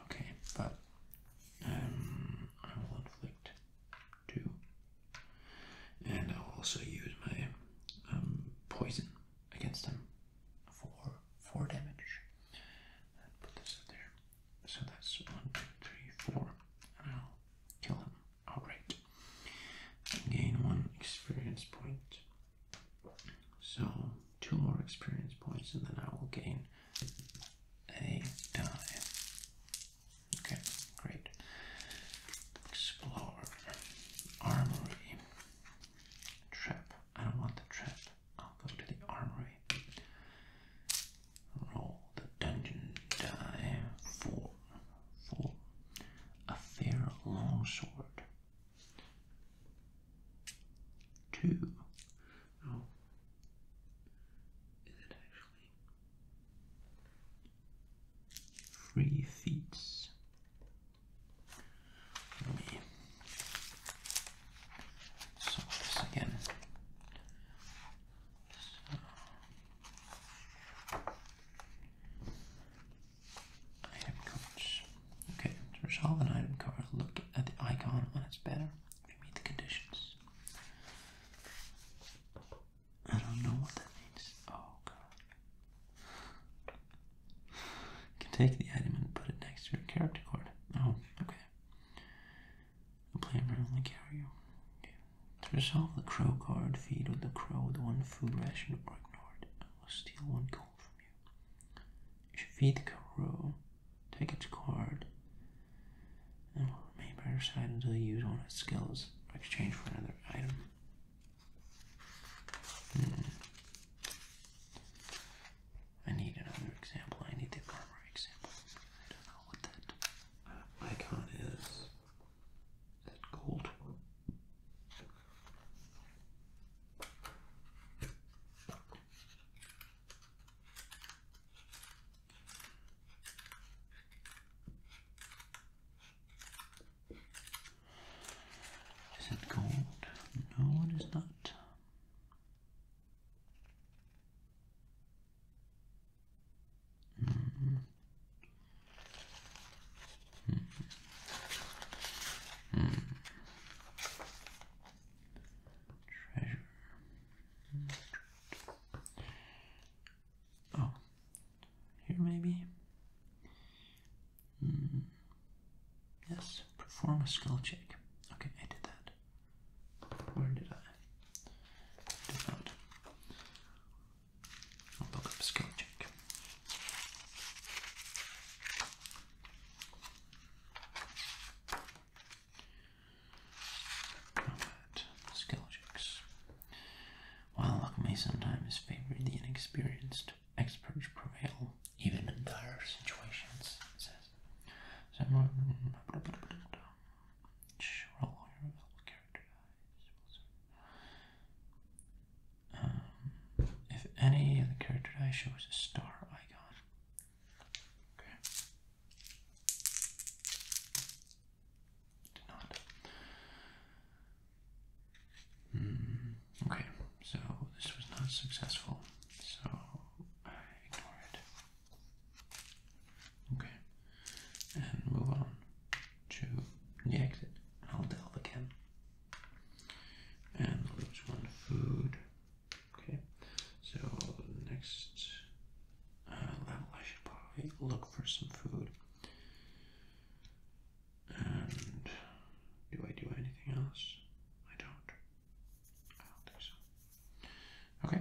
Okay, but um, I will inflict two, and I'll also use my um, poison against him for four damage. put this up there. So that's one, two, three, four, and I'll kill him. All right. Gain one experience point. So, two more experience points, and then I will gain a die. Okay, great. Explore. Armory. Trap. I don't want the trap. I'll go to the armory. Roll the dungeon die. Four. Four. A fair longsword. Two. Oh. Is it actually? Three feet. Let me solve this again. Item cards. Okay, to resolve an item card, look at the icon on its banner meet the conditions. I don't know what that means. Oh god. You can take the item and put it next to your character card. Oh, okay. The player may only carry you. Okay. To resolve the crow card, feed with the crow the one food ration or ignored. I will steal one gold from you you. should feed the kangaroo, take its card, and will remain by your side until you use one of its skills in exchange for another item. Hmm. I need another example. I need the farmer example. I don't know what that icon Is that gold? Is it gold? No, it is not. -hmm. -hmm. -hmm. Treasure. Oh, here maybe? Hmm. Yes, perform a skull check. Okay, I did that. Where did I? I did not. I'll check. Robert While luck may sometimes favor the inexperienced, experts prevail, even in dire situations, says. Um, if any of the character die shows a star icon, Okay. Did not. Mm, okay, so this was not successful, so I ignore it. Okay, and move on to the exit. I'll delve again. And lose one food. Okay, so next uh, level, I should probably look for some food. And do I do anything else? I don't. I don't think so. Okay.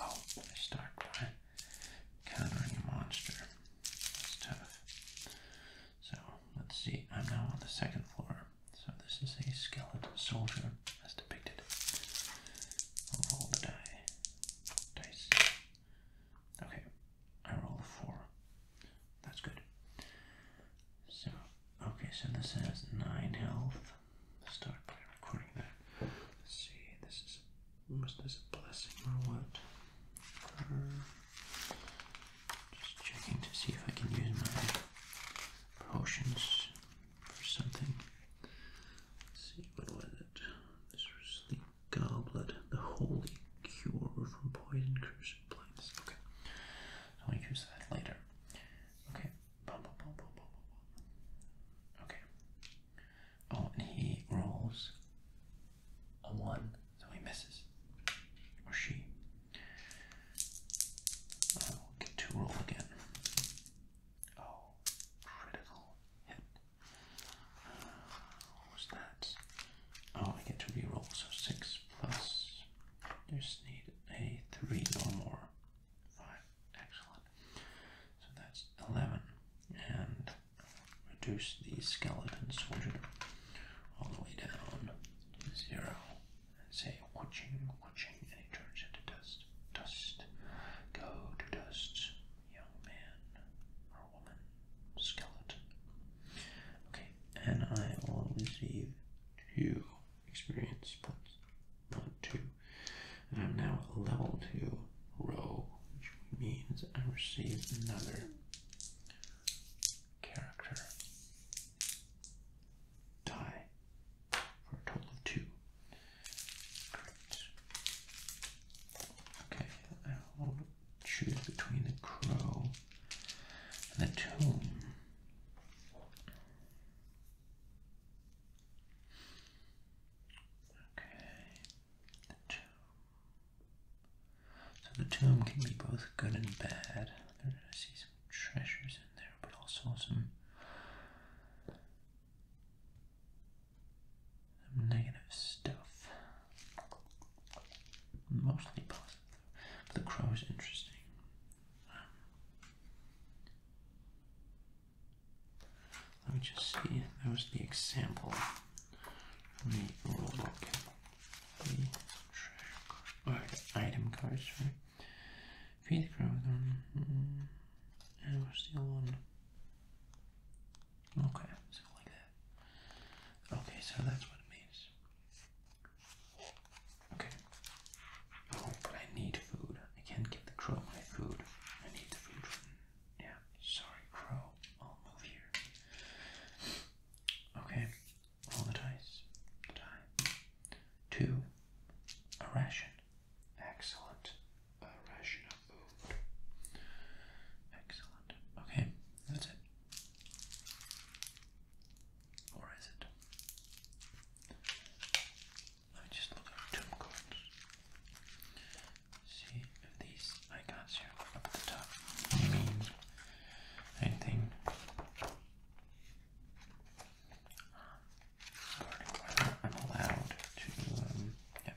Oh, they start by countering a monster. That's tough. So let's see. I'm now on the second floor. So this is a skeleton soldier as depicted. roll the die. Dice. Okay. I roll a four. That's good. So okay, so this has nine health start by recording that. Let's see, this is almost as a blessing or what? just checking to see if I can use my potions for something. Let's see, what was it? This was the goblet, the holy cure from poison cursed plants. Okay, I'll use that later. Okay, Okay. Oh, and he rolls a one, so he misses. Or she. I oh, will get to roll again. Oh, critical hit. Uh, what was that? Oh, I get to reroll, so six plus. Just need a three or more. Right, excellent. So that's 11. And reduce the skeleton soldier all the way down to 0. And say, watching, watching, and he turns into dust. Dust. Go to dust, young man or woman, skeleton. Okay, and I will receive two experience points. Not two, and I'm now at level 2 row, which means I receive another character die for a total of 2. Great. Okay, I will choose between the crow and the tomb. Okay, the tomb. So the tomb can be both good and bad. There's I see some treasures in there, but also some, negative stuff. Mostly positive. But the crow is interesting. Um, let me just see. That was the example. Let me look the item cards, right? Feed the crowd um, hmm, on. And where's the other one? Okay, so like that. Okay, so that's what it means. Okay, Oh, but I need food. I can't give the crow my food. I need the food from. Yeah, sorry, crow. I'll move here. Okay, roll the dice. die. Two. A ration. Excellent. A ration of food. Excellent. Okay, that's it. Or is it? Let me just look at tomb cards. See if these icons here up at the top mean anything I'm allowed to um, yeah.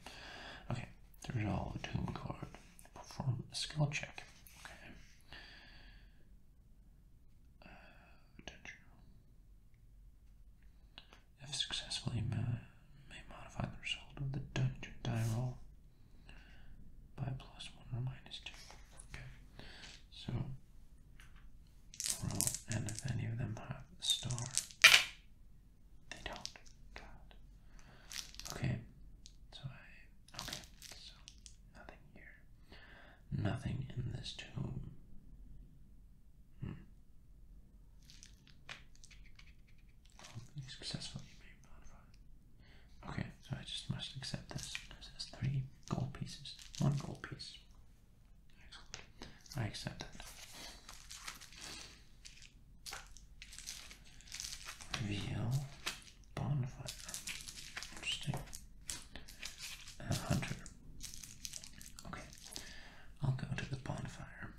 Okay, to resolve a tomb card. Perform a skill check. Okay. Uh, attention. If successfully, you may, modify the result of the dungeon die roll by plus one or minus two. Okay, so roll, and if any of them have a star, they don't. Okay, so I. Okay, nothing here. Nothing in this tomb. Hmm. Okay, so I just must accept this as there's three gold pieces. One gold piece. I accept it. Reveal bonfire. Interesting. A hunter Okay, I'll go to the bonfire.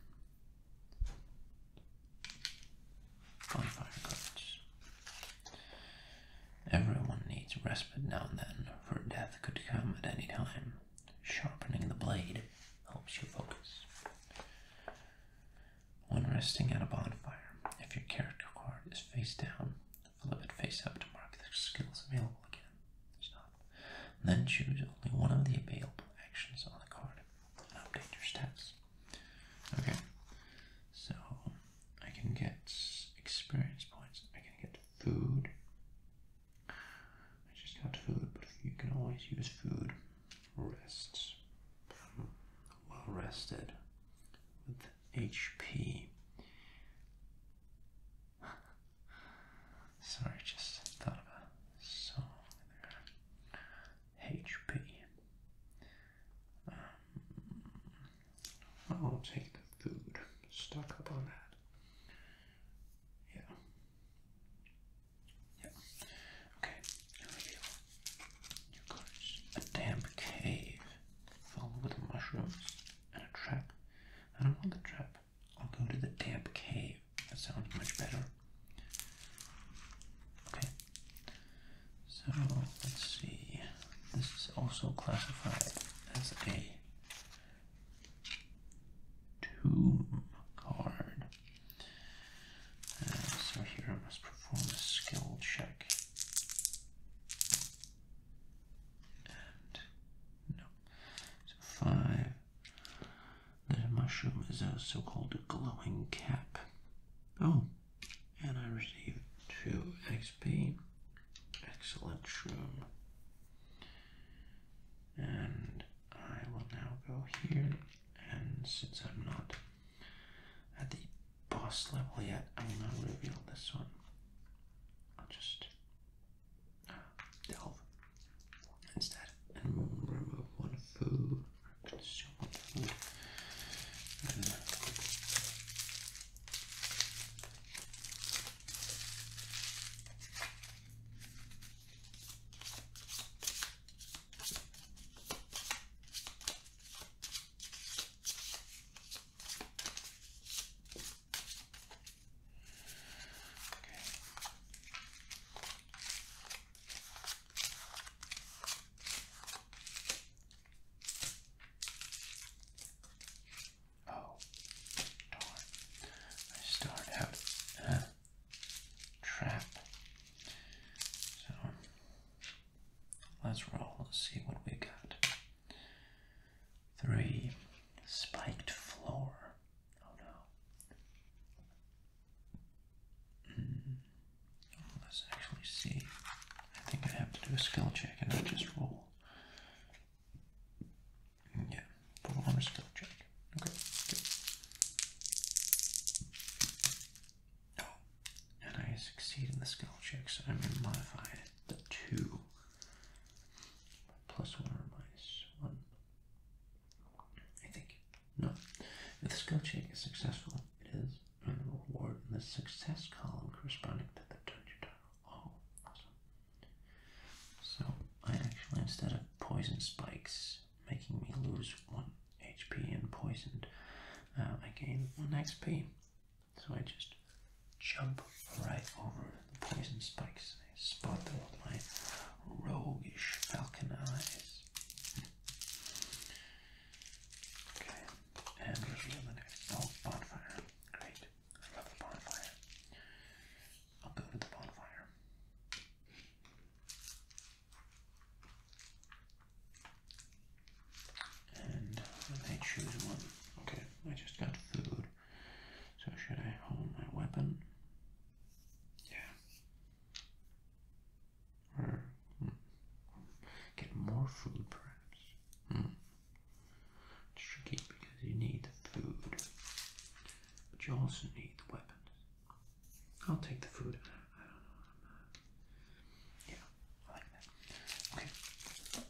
Bonfire cards. Everyone needs respite now and then, for death could come at any time. Sharpening the blade helps you focus. When resting at a bonfire, if your character card is face down, flip it face up to mark the skills available again. Then choose only one of the available actions on the card and update your stats. Okay, so I can get experience points, I can get food. I just got food, but you can always use food. Rests. Well rested with HP. Sorry, just thought of a song there. HP. Um, I'll take the food. Stock up on that. Yeah. Yeah. Okay, here we go. You a damp cave filled with mushrooms and a trap. I don't want the trap. I'll go to the damp cave. That sounds much better. Okay. So let's see. This is also classified as a tomb card. Uh, so here I must perform a skill check. And no. So five the mushroom is a so-called glowing cap. Oh, and I received 2 XP. Excellent shroom. And I will now go here, and since I'm not at the boss level yet, I will not reveal this one. I'll just delve instead and remove one food consume one food. Oh, darn. I start out a trap. So let's roll, let's see what we got. Three, spiked floor. Oh no. Hmm. Let's actually see. I think I have to do a skill check and not just roll. Yeah, perform a skill check. Okay, good. Oh, and I succeed in the skill check, so I'm going to modify it two. Plus one or minus one. I think. No. If the skill check is successful, it is an reward in the success column corresponding to the turn you turn. Oh, awesome. So, I actually, instead of poison spikes making me lose one HP and poisoned, uh, I gain one XP. So I just jump right over the poison spikes spot them with my roguish falcon eyes. Okay, and reveal the next oh, bonfire. Great, I love the bonfire. I'll go to the bonfire. And I choose one. Okay, I just got food. So should I hold my weapon? Yeah. Or hmm. get more food perhaps. Hmm. It's tricky because you need food. But you also need weapons. I'll take the food. Yeah, I like that. Okay.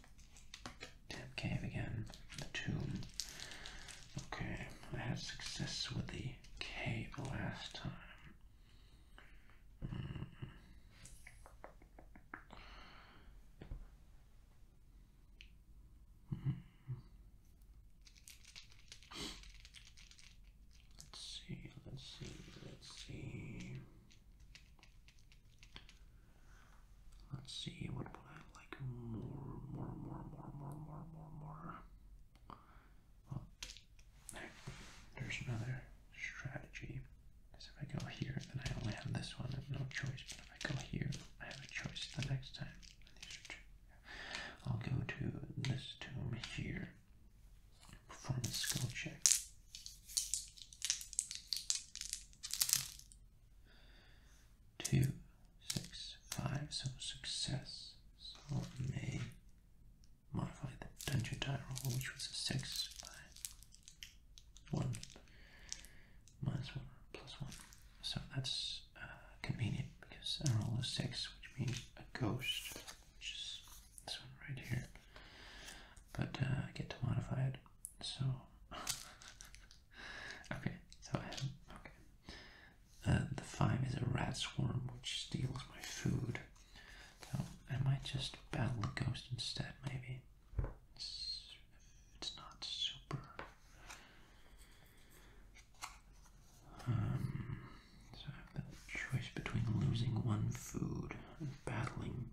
Tap cave again. The tomb. Okay, I had success with the K last time. Let's see, let's see, let's see. Let's see what like more, more, more, more, more, more, more, more. Well, there's another strategy. Is if I go here, then I only have this one. I have no choice. But if I go here, I have a choice the next time. i I'll go to this tomb here. Perform a skill check. Two six, five, so success. So may modify the dungeon die roll, which was a six by one minus one plus one. So that's uh, convenient because I roll a six, which means a ghost, which is this one right here. But uh, I get to modify it. So (laughs) okay, so okay, uh, the five is a rat swarm which steals my food. So I might just battle a ghost instead, maybe. It's, it's not super. Um, so I have the choice between losing one food and battling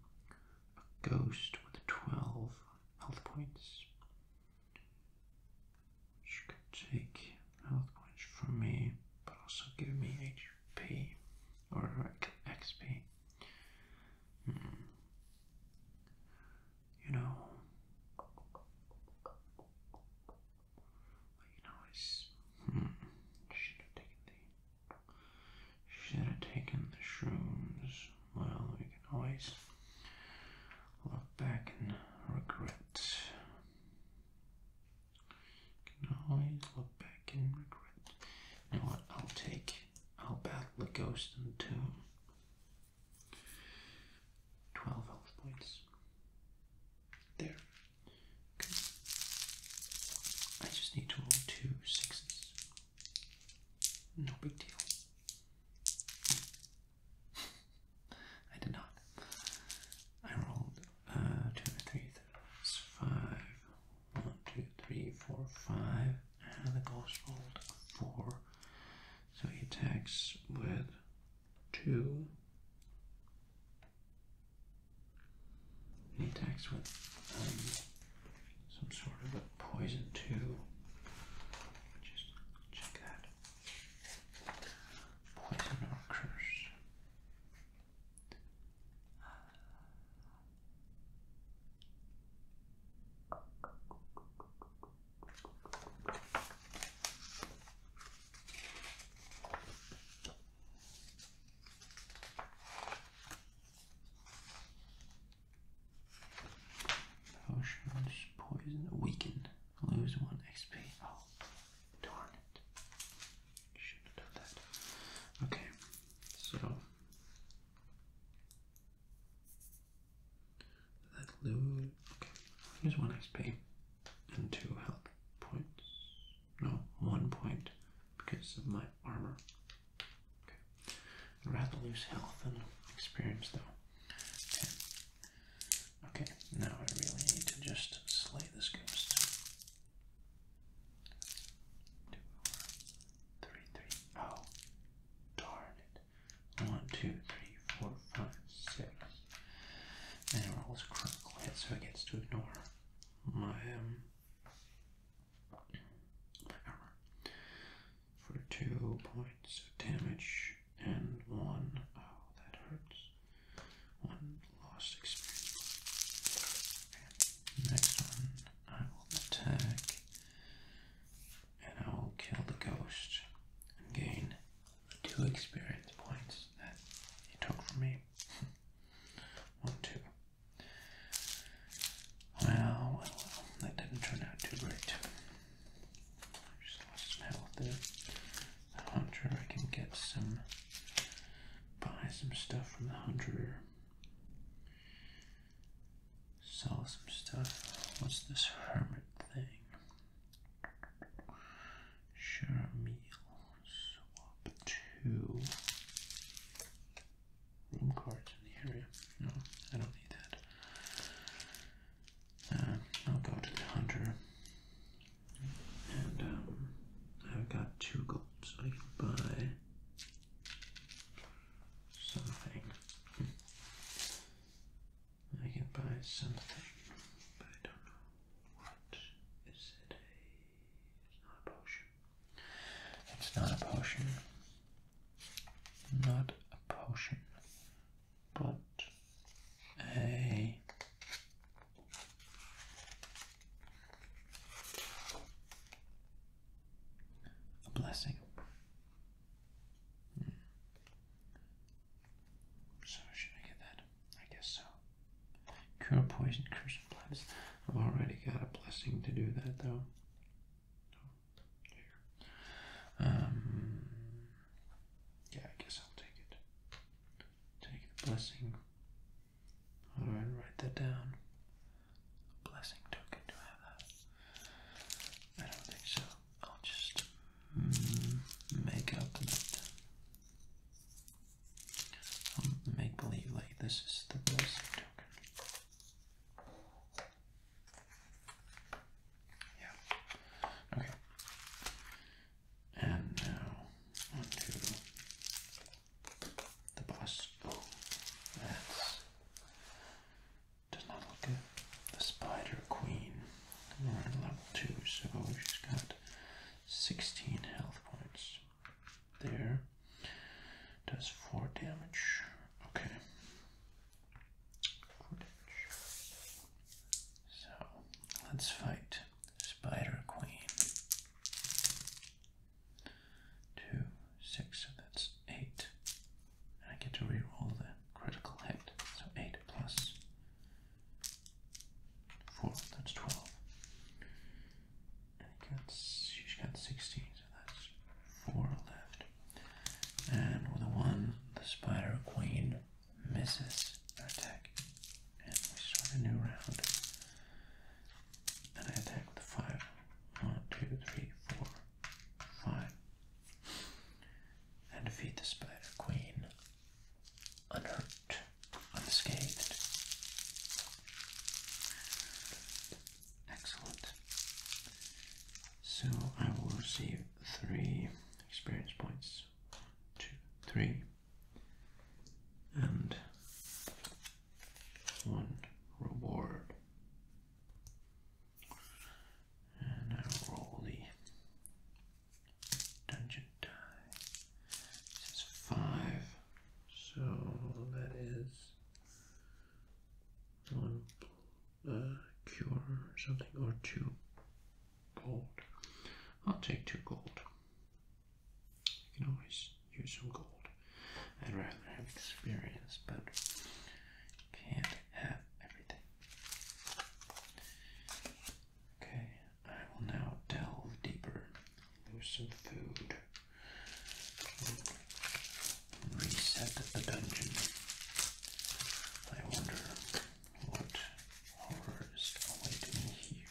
a ghost with 12 health points which could take health points from me, but also give me HP or XP. Hmm. You know, I hmm. Should have taken the. Should have taken the shrooms. Well, we can always look back and regret. can always look back and regret. You what? I'll take. I'll battle the ghost in the tomb. Twelve health points. There. Okay. I just need to roll two sixes. No big deal. (laughs) I did not. I rolled uh, two, three, three, five, one, two, three, four, five, and the ghost rolled four. So he attacks with two. He attacks with um, some sort of a poison too. Just check that. Poison or Potions, poison, weaken. Lose one XP. Oh, darn it. Should have done that. Okay, so that lose. Okay, lose one XP and two health points. No, one point because of my armor. Okay, rather lose health than experience though. Okay, now I really need to just slay this ghost. Two Oh, darn it. One, two, three, four, five, six. And it rolls critical hit, so it gets to ignore my um, my armor for two points of damage and one, oh, that hurts. One lost experience. next one, I will attack and I will kill the ghost and gain two experience points that he took from me. (laughs) one, two. well, that didn't turn out too great. Just lost metal there. The hunter, I can get some, buy some stuff from the hunter. Sell some stuff. What's this hermit thing? Share a meal. Swap two. Room cards in the area. No, I don't need that. Uh, I'll go to the hunter. And um, I've got two gold, so I can buy something. I can buy something, but I don't know what. Is it a. It's not a potion. It's not a potion. Not a potion but a a blessing. Hmm. So should I get that? I guess so. Cure poison, curse plants. I've already got a blessing to do that though. Oh, um, yeah, I guess I'll take it. Take the blessing. How write that down? Blessing token, do I have that? I don't think so. I'll just mm, make up that. Um, make believe like this is the blessing token. Yeah. Okay. And now onto the boss. Oh, that's does not look good. The Spider Queen. We're at level two, so she's got 16 health points. There does four damage. Okay. So let's fight Spider Queen. Two, six, so that's eight. And I get to reroll the critical hit. So eight plus four, that's twelve. And she's got sixteen, so that's four left. And with the one, the Spider Queen misses an attack, and we start a new round. And I attack with five. One, two, three, four, five. And defeat the Spider Queen unhurt, unscathed. Excellent. So I will receive three experience points is one, two, three, and one reward. And I roll the dungeon die. This is five, so that is one uh, cure something or two gold. I'll take two gold. You can always use some gold. I'd rather have experience, but can't have everything. Okay, I will now delve deeper, lose some food, reset the dungeon. I wonder what horrors are waiting here?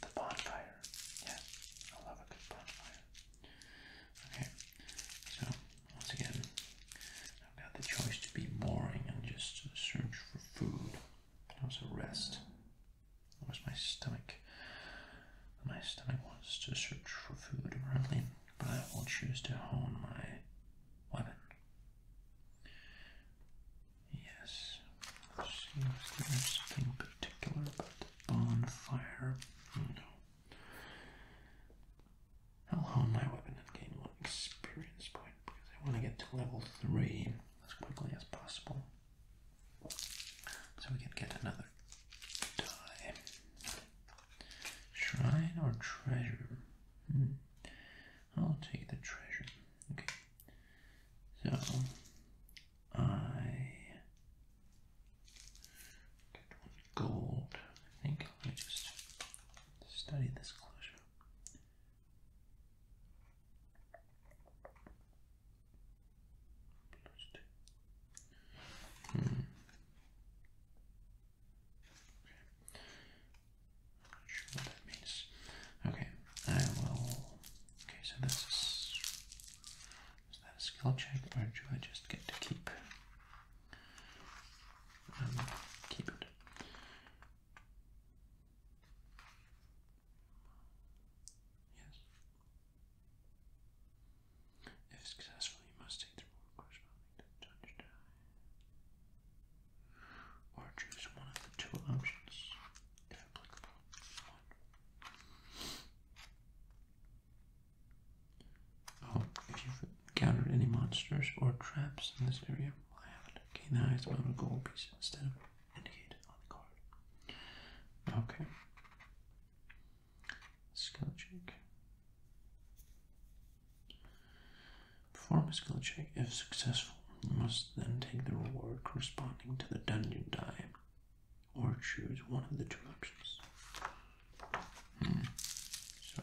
The bonfire. Yeah, I love a good bonfire. Okay, so once again, I've got the choice to be boring and just search for food. I can also rest. Where's my stomach? My stomach wants to search for food around but I will choose to hone my weapon. Yes, seems there's something particular about the bonfire. no. I'll hone my weapon and gain one experience point because I want to get to level 3 as quickly as possible. So we can get another die. Shrine or treasure? Hmm. I'll take the treasure. Okay. So I gold. I think let me just study this closure. Hmm. Okay. not sure what that means. Okay, I will. Okay, so this is. that a skill check or do I just get to keep? Um, keep it. Yes. If successful, you must take the role corresponding to the touch Or choose one of the two options, if applicable. Oh, if you've encountered any monsters or traps in this area, I haven't. Okay, now it's about a gold piece instead of indicated on the card. Okay. Skill check. Perform a skill check. If successful, you must then take the reward corresponding to the dungeon die or choose one of the two options. Hmm. So,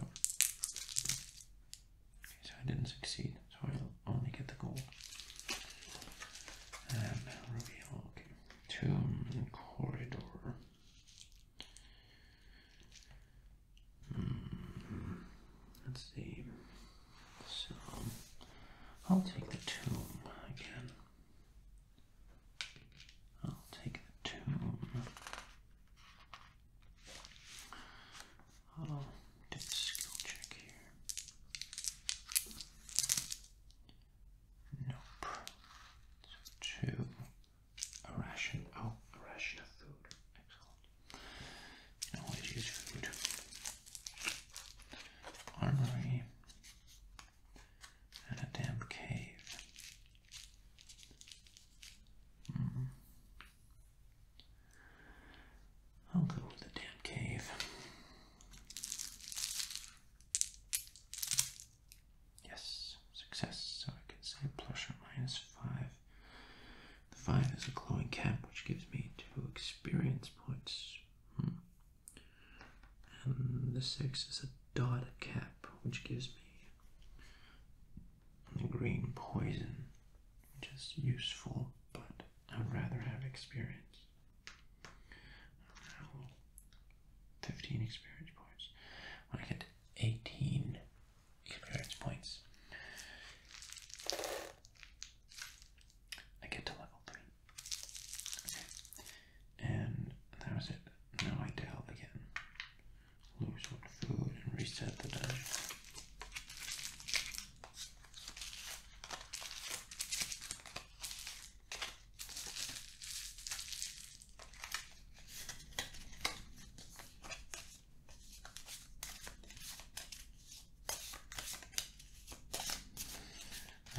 so I didn't succeed, so I'll only get the gold. And reveal, okay, tomb corridor. Hmm. Let's see. So I'll take the tomb again. I'll take the tomb. I'll do the skill check here. Nope. two. A ration. Oh, a ration of food. Excellent. Always use food. Armory. And a damn cave. -hmm. I'll go with the damn cave. Yes, success. So I can say plus or minus 5. The 5 is a glowing cap, which gives me 2 experience points. Hmm. And the 6 is a dotted cap, which gives me the green poison, which is useful, but I'd rather have experience. 15 experience points. When I get 18 experience points, I get to level 3. Okay. And that was it. Now I delve again. Lose one food and reset the dungeon.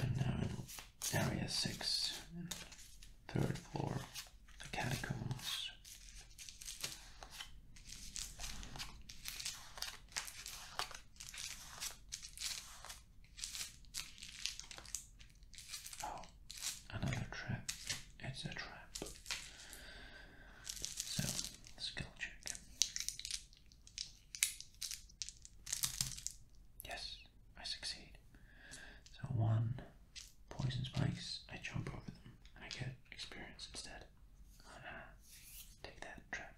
And now in area six, third floor, the catacombs. Oh, another trap. It's a trap. So, skill check. Yes, I succeed. So, one poison spikes, I jump over them and I get experience instead. Ah, take that trap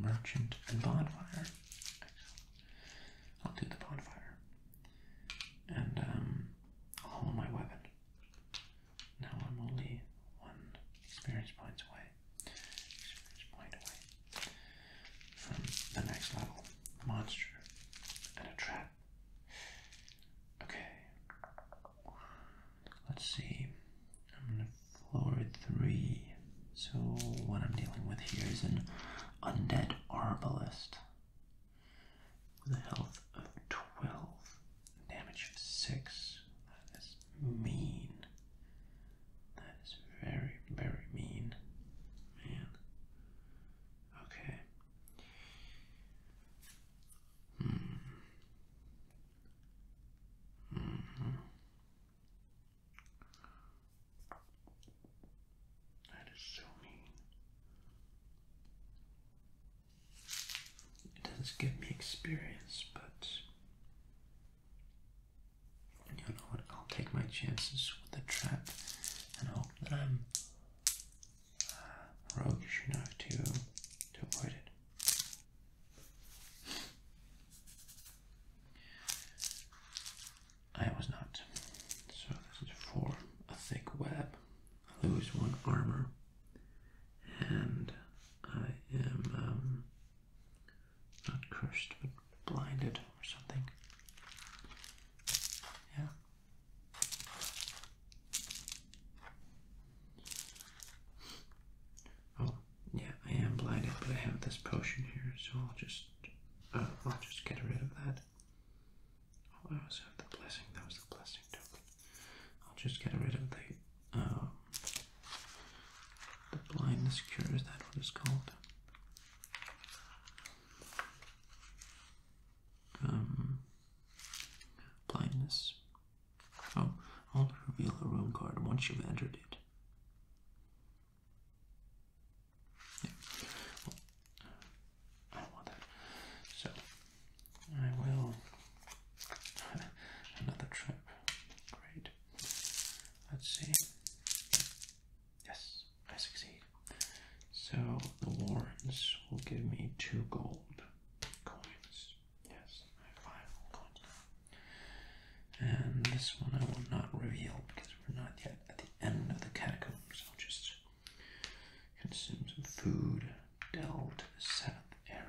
merchant, and bonfire. I'll do the bonfire. And um, I'll hold my weapon. Now I'm only one experience points away. Experience point away from the next level. monster and a trap. Okay. Let's see floor three. So what I'm dealing with here is an undead arbalist with a health of 12, damage of 6. That is mean. That is very, very mean. Man. Okay. Hmm. -hmm. That is so mean. It doesn't give me experience, but you know what? I'll take my chances with the trap and hope that I'm uh, roguish enough to, to avoid it. I was not. So this is for a thick web. I lose one armor, and I am um, not cursed but blinded or something. Yeah. Oh, yeah, I am blinded, but I have this potion here, so I'll just uh, I'll just get rid of that. Oh, I also have the blessing. That was the blessing token. I'll just get rid of the um, the blindness cure. Is that what it's called? Um, blindness. Oh, I'll reveal a room card once you've entered it. I don't want that. So I will (laughs) another trip. Great. Let's see. Yes, I succeed. So the Warrens will give me two gold coins. Yes, I five coins now. And this one I will not reveal because because we're not yet at the end of the catacombs. I'll just consume some food, delve to the seventh area.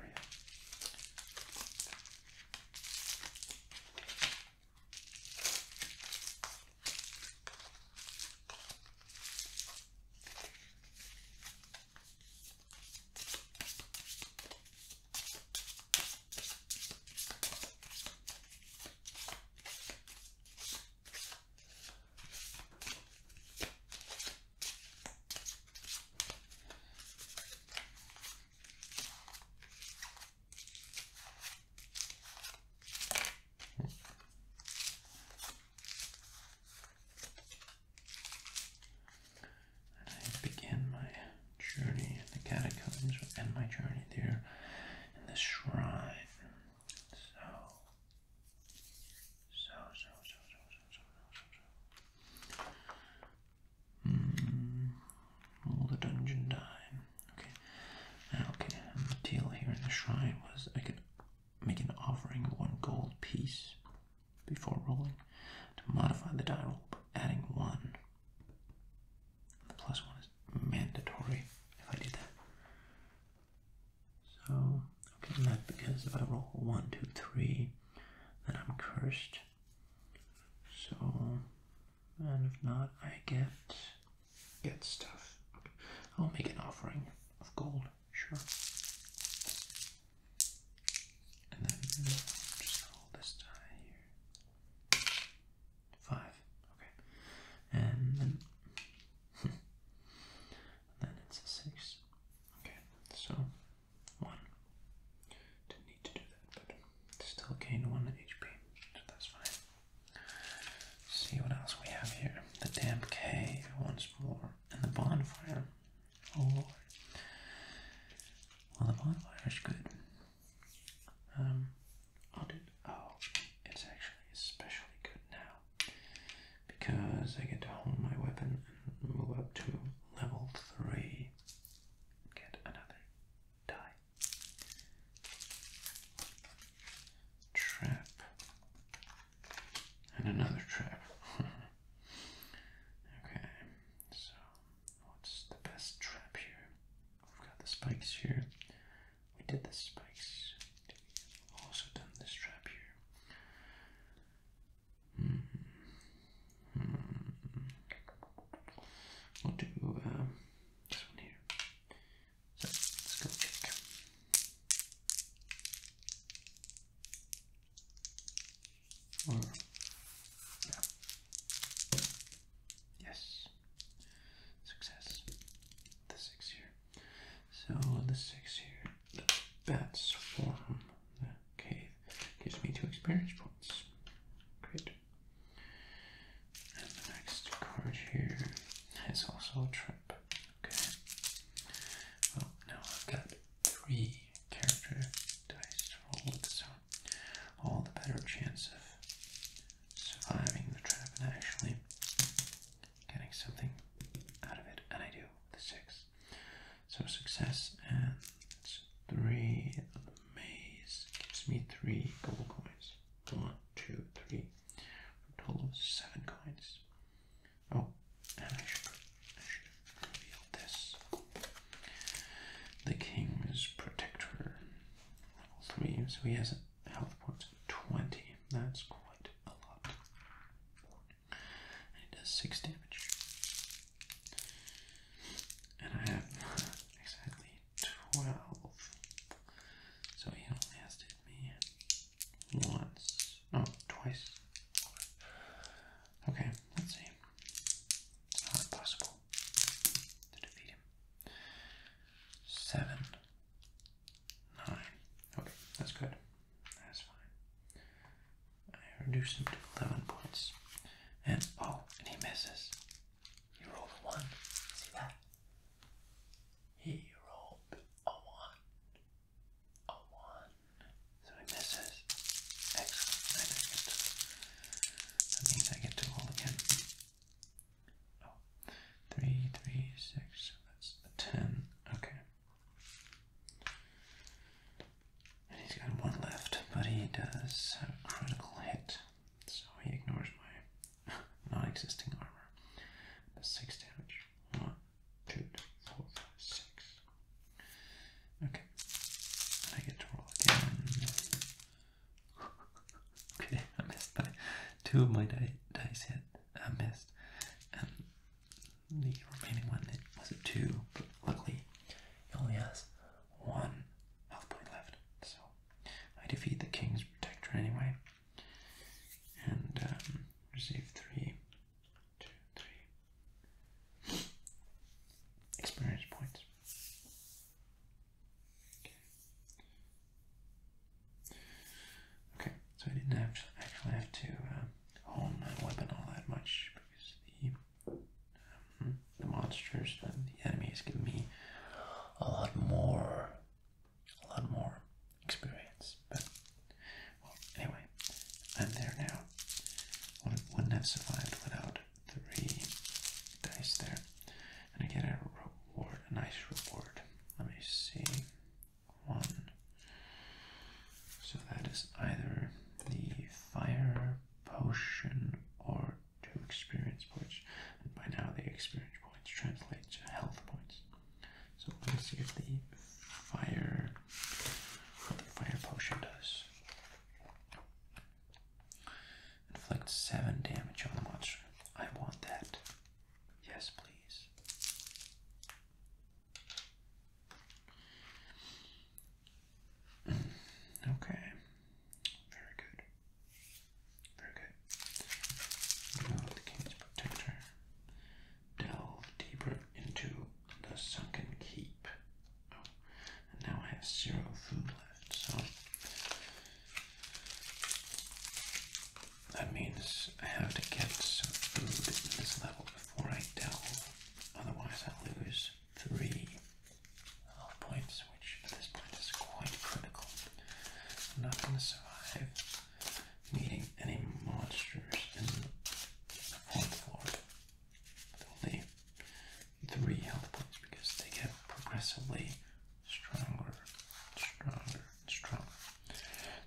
And I begin my journey in the catacombs would end my journey there in the shrine. So, so, so, so, so, so, so, so, so. Mm, roll the dungeon die. Okay. Now, okay, and the deal here in the shrine was I could make an offering of one gold piece before rolling to modify the die roll by adding one one is mandatory if I do that. So, okay, not because if I roll one, two, three, then I'm cursed. So, and if not, I get get stuff. I'll make an offering of gold, sure. And then just roll this die here. Five. Okay. And then, (laughs) then it's a six. Okay. So one. Didn't need to do that, but still gained one HP. So that's fine. see what else we have here. The damp cave once more. And the bonfire. Oh lord. Well the bonfire is good. Um, I'll do. Oh, it's actually especially good now because I get to hold my weapon and move up to level three. Get another die. Trap and another trap. (laughs) okay, so what's the best trap here? We've got the spikes here. We did the spikes. also done this strap here. Hmm. Hmm. We'll do uh, this one here. let's go check. yeah, Yes. Success. The six here. So the six here. The bats form the cave. Gives me two experience points. Great. And the next card here is also a trip. Okay. Well, now I've got three character dice to roll so all the better chance of surviving the trap and actually getting something out of it. And I do, the six. So success and three maze gives me three gold coins. One, two, three. total of seven coins. Oh, and I should, reveal this. The king's protector, three. So he has health points 20. That's quite a lot. And it does 6 damage. And I have (laughs) exactly 12. So he only has hit me once. Oh, twice. Okay, let's see. not possible to defeat him. Seven, nine. Okay, that's good. That's fine. I reduce him to 11 points. And oh, and he misses. He rolled a 1. See He rolled a 1. A 1. So he misses. Excellent. that means I get to roll again oh, three, three, six, so that's ten, okay. he's got one left, but he does have a critical hit, so he ignores my (laughs) non-existing armor. six damage. One, two, four, five, six. Okay. I get to roll again okay, (laughs) I missed by two of my dice hit. I missed, and um, the remaining one was a two. But luckily, he only has one health point left, so I defeat the king's protector anyway, and um, receive three, two, three experience points. Okay, so I didn't have actually have to um, hone my weapon all that much because the um, the monsters, and the enemies, give me a lot more, a lot more experience. But anyway, I'm there now. Wouldn't have survived without three dice there and I get a reward, a nice reward. Let me see. One. So that is either the fire potion or two experience points. And by now the experience points translate to health points. So let us see if the fire the fire potion does. Inflict 7 damage on the monster. I want that. Yes, please. Mm, okay. Very good. Very good. the King's Protector. Delve deeper into the sunken keep. Oh, and now I have zero food left, so that means I have to get some food in this level before I delve, otherwise I lose three health points, which at this point is quite critical. I'm not going to survive meeting any monsters in the fourth floor with only three health points because they get progressively stronger, stronger, stronger.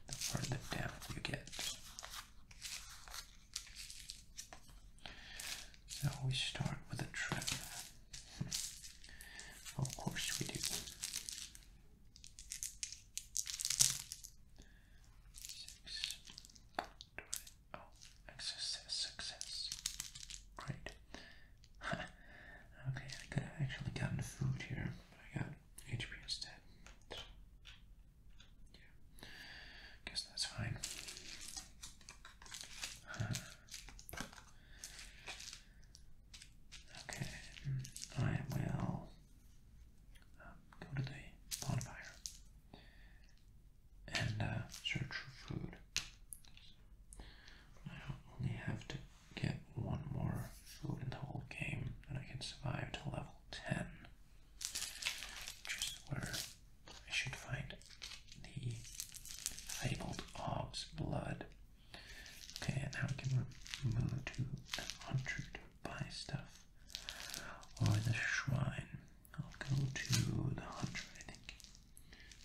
The further down you get. So we start with a trip. Hmm. of course we do. Six. Oh, success, success. Great. (laughs) okay, I could have actually gotten food here, but I got HP instead. yeah, guess that's fine. (sighs) okay, I will um, go to the bonfire and uh, search for food. I only have to get one more food in the whole game, and I can survive to level 10. Which where I should find the fabled Ob's blood. Okay, and now we can move to the hunter to buy stuff. Or the shrine. I'll go to the hunter, I think.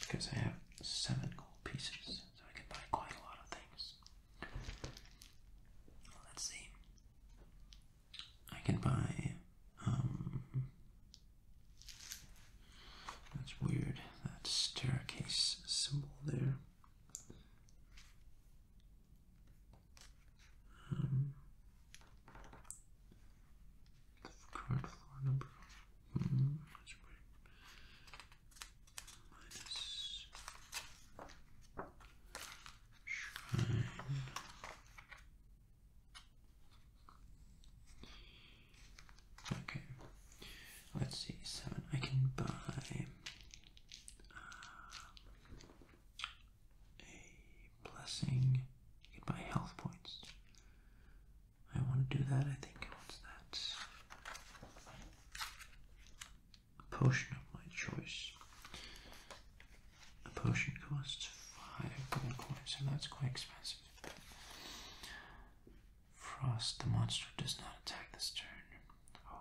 Because I have seven gold pieces so I can buy quite a lot of things. Let's see. I can buy. Um, that's weird. That staircase symbol there. Um, floor number. Hmm, Okay, let's see. Seven. I can buy um, a blessing. You can buy health points. I want to do that. I think it wants that? A potion of my choice. A potion costs five gold coins, so that's quite expensive. Frost, the monster does not attack this turn. Oh,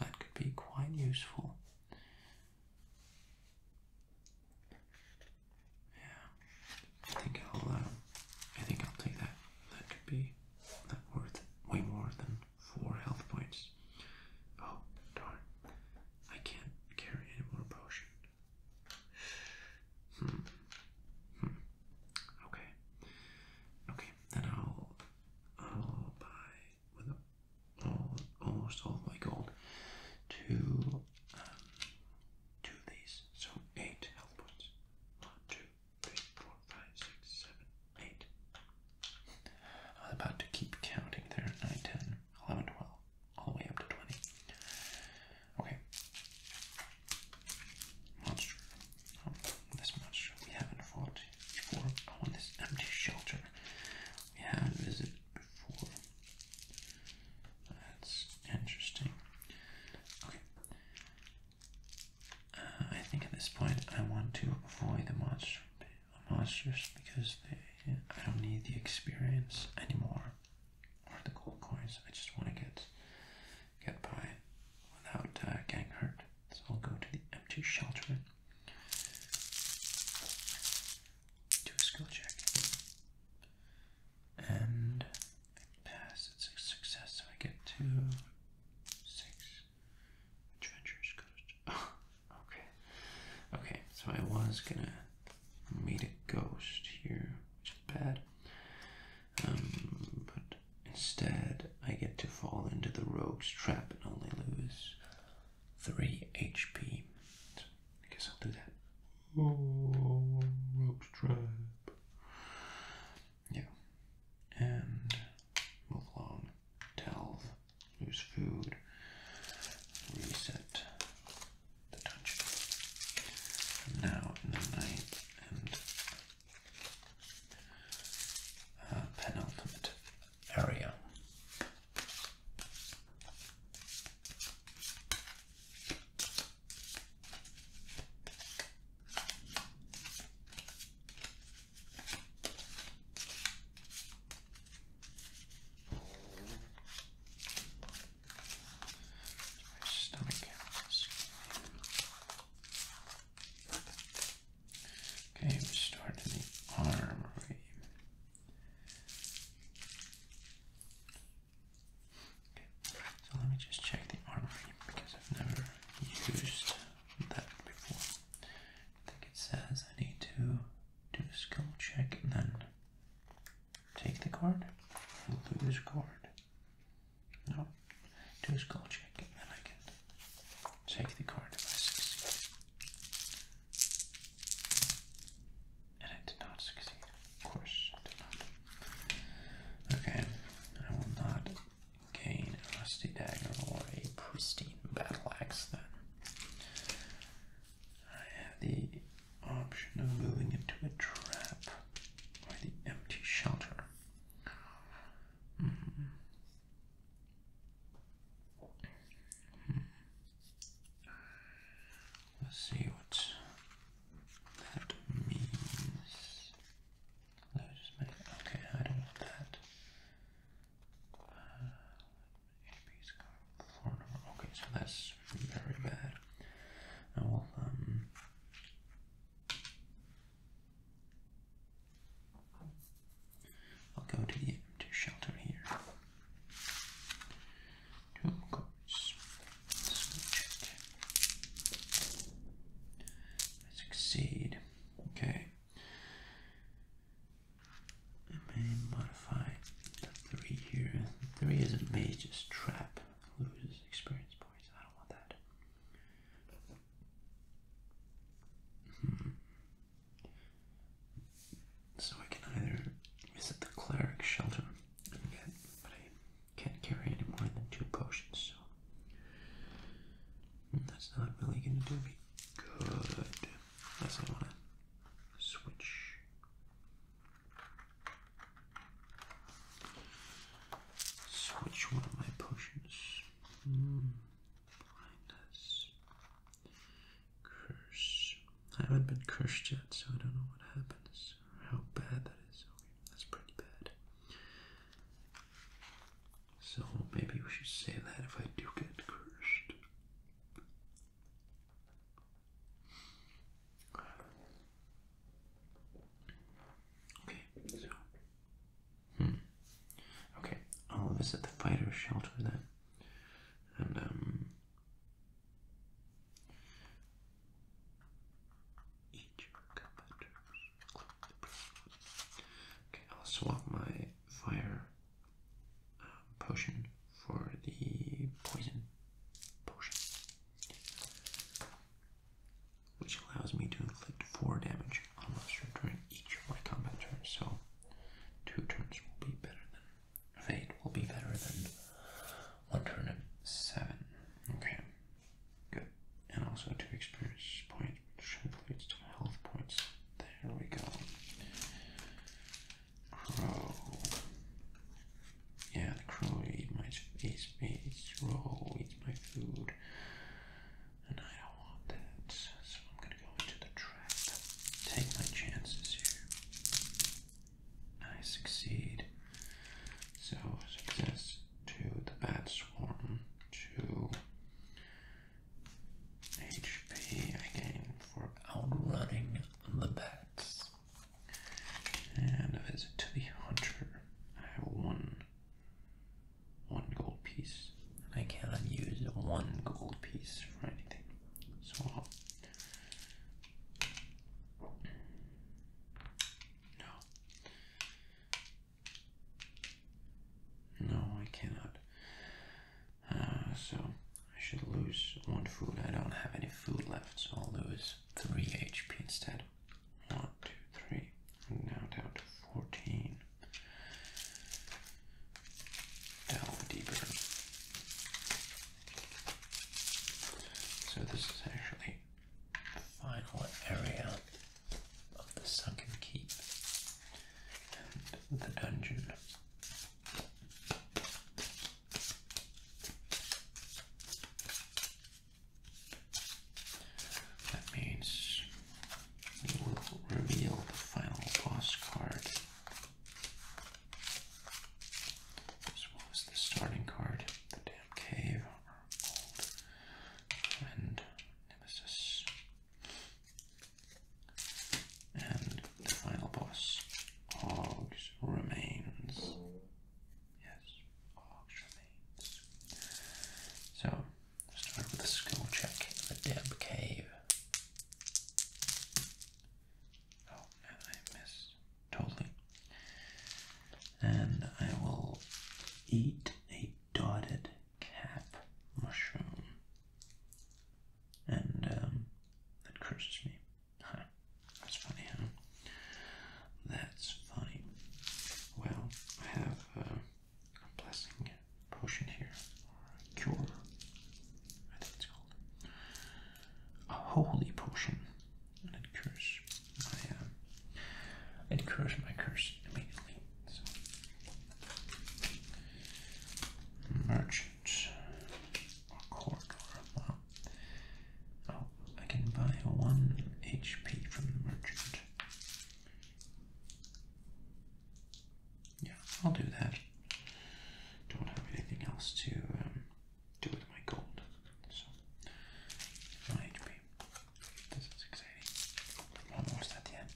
that could be quite useful. Yeah, I think I'll uh, I think I'll take that. That could be that worth way more than four health points. Oh darn. I can't carry any more potion. Hmm. Hmm. Okay. Okay, then I'll I'll buy with all almost all of my gold to um these. So eight health points. One, two, three, four, five, six, seven, eight. I seven, eight. I'm about to keep counting there 9, 10, 11, 12, all the way up to 20. Okay. Monster. Oh, this monster we haven't fought before. Oh, this empty shelter we haven't visited before. That's interesting. Uh, I think at this point I want to avoid the monster monsters because they, I don't need the experience anymore or the gold coins. I just want to get get by without uh, getting hurt. So I'll go to the empty shelter. Do a skill check. And Pass, it's a success, so I get two, six. Treacherous ghost. (laughs) okay. Okay, so I was gonna meet a ghost here, which is bad. Um, but instead, I get to fall into the rogue's trap and only lose 3 HP. So I guess I'll do that. Oh, rogue's trap. Yeah. And move along. Delve. Use food. Reset the dungeon. now in the ninth and uh, penultimate area. My stomach is Okay, we start in the armory. Okay, so let me just check the armory because I've never used that before. I think it says I need to do a skill check and then take the card, lose card. No, do a skill check and then I can take the card if I succeed. And I did not succeed. Of course, I did not. Okay, I will not gain a rusty dagger or a pristine battle axe then. I have the option of moving into a trap or the empty shelter. Mm-hmm. Hmm. Let's see what that means okay, I don't want that. Uh, number. Okay, so that's very bad. I will um I'll go to the empty shelter here. Two coats. Let's go check succeed. Okay. I may modify three here. Three is a mage's trap. Loses experience points. I don't want that. Hmm. So I can either visit the cleric shelter and get can't carry any more than two potions, so hmm, that's not really gonna do me good unless I wanna switch. Switch one of my potions. Hmm, blindness. Curse. I haven't been cursed yet, so I don't know what happens or how bad that is. that's pretty bad. So maybe we should say that if I do get cursed. Okay, so. Hmm. Okay, all of us the fighter shelter then. And, um each competitor. Click Okay, I'll swap my fire um, potion for the poison potion, which allows me to inflict four damage on monster during each of my combat turns. So, two turns will be better than fate will be better than one turn at seven. Okay. Good. And also two experience points which translates to health points. There we go. Crow. Yeah, the crow eats my eats me, eats eats my food. And I don't want that. So I'm gonna go into the trap. Take my chances here. I succeed. So success to the Bat Swarm, to HP again for outrunning the bats. And a visit to the Hunter. I have one one gold piece. I cannot use one gold piece for anything. So no. No, I cannot. Uh, so I should lose one food. I don't have any food left, so I'll lose 3 HP instead. 1, 2, 3. now down to 14. Down deeper. So this is actually final area of the sunken keep and the dungeon. That means we will reveal the final boss card as well as the starting card, the damn cave, our and the final boss, Og's Remains. Yes, Og's Remains. So, start with a skill check in the Deb Cave. Oh, and I missed. Totally. And I will eat a dotted cap mushroom. And um, that curses me. That's funny, huh? That's funny. Well, I have a blessing potion here, or a cure, I think it's called. A holy potion. And it cures my, uh, it cures my curse immediately. So. Merchant corridor. oh, I can buy one HP from the merchant. Yeah, I'll do that. Don't have anything else to um, do with my gold, so my HP. This is exciting. Almost at the end.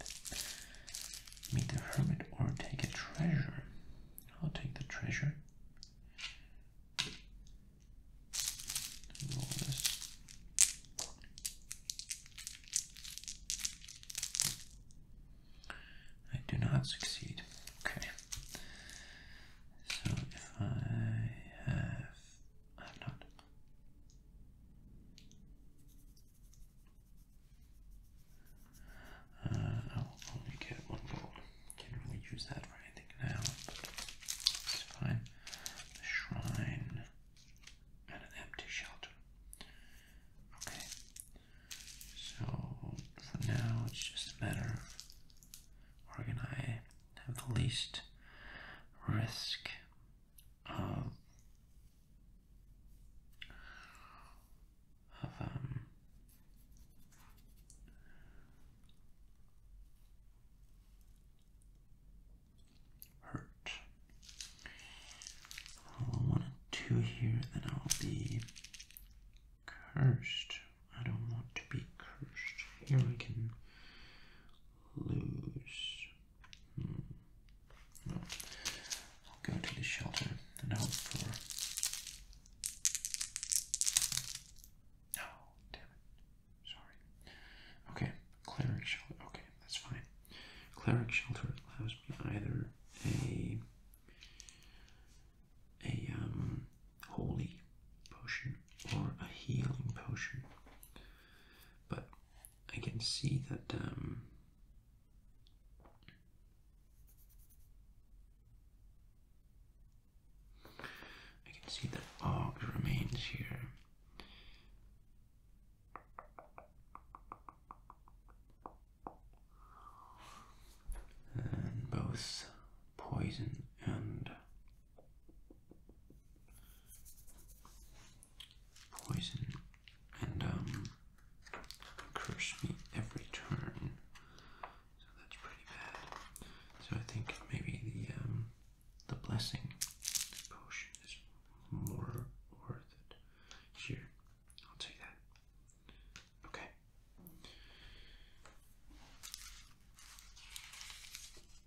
Meet the hermit or take a treasure. I'll take the treasure. Roll this. I do not succeed. Okay. So if I have, I have not. Uh, I'll only get one gold. Can't use that for anything now, it's fine. A shrine and an empty shelter. Okay. So for now, it's just a matter of where can I have the least risk um, of um, hurt. i want two here, then I'll be cursed. I don't want to be cursed. Here I can lose. Hmm. Well, I'll go to the shelter and hope for. oh, damn it. Sorry. Okay, cleric shelter. Okay, that's fine. Cleric shelter allows me either a a um holy potion or a healing potion. But I can see that um, I can see that Og remains here. And both poison and poison and um, curse me every turn. So that's pretty bad. So I think maybe the um, the blessing potion is more worth it. Here, I'll take that. Okay.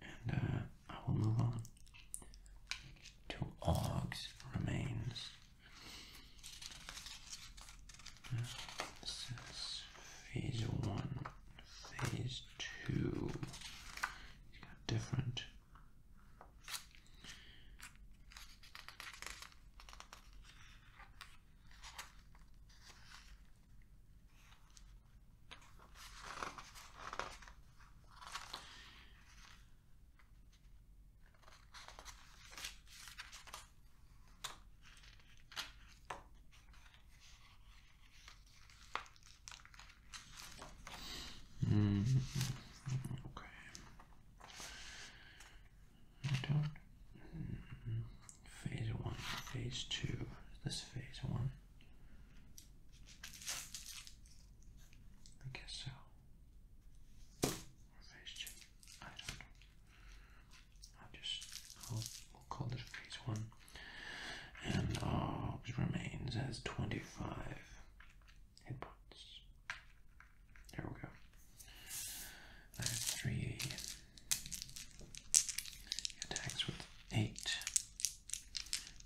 And uh, I will move on to Og's remains. This is phase one, phase 2 different. -hmm. Okay. Down. Mm-hmm. Phase one, phase two. This phase one. I guess so. Or phase two. I don't know. I'll just i call this phase one. And Orbs uh, remains as 25 hit points. There we go. I have three attacks with eight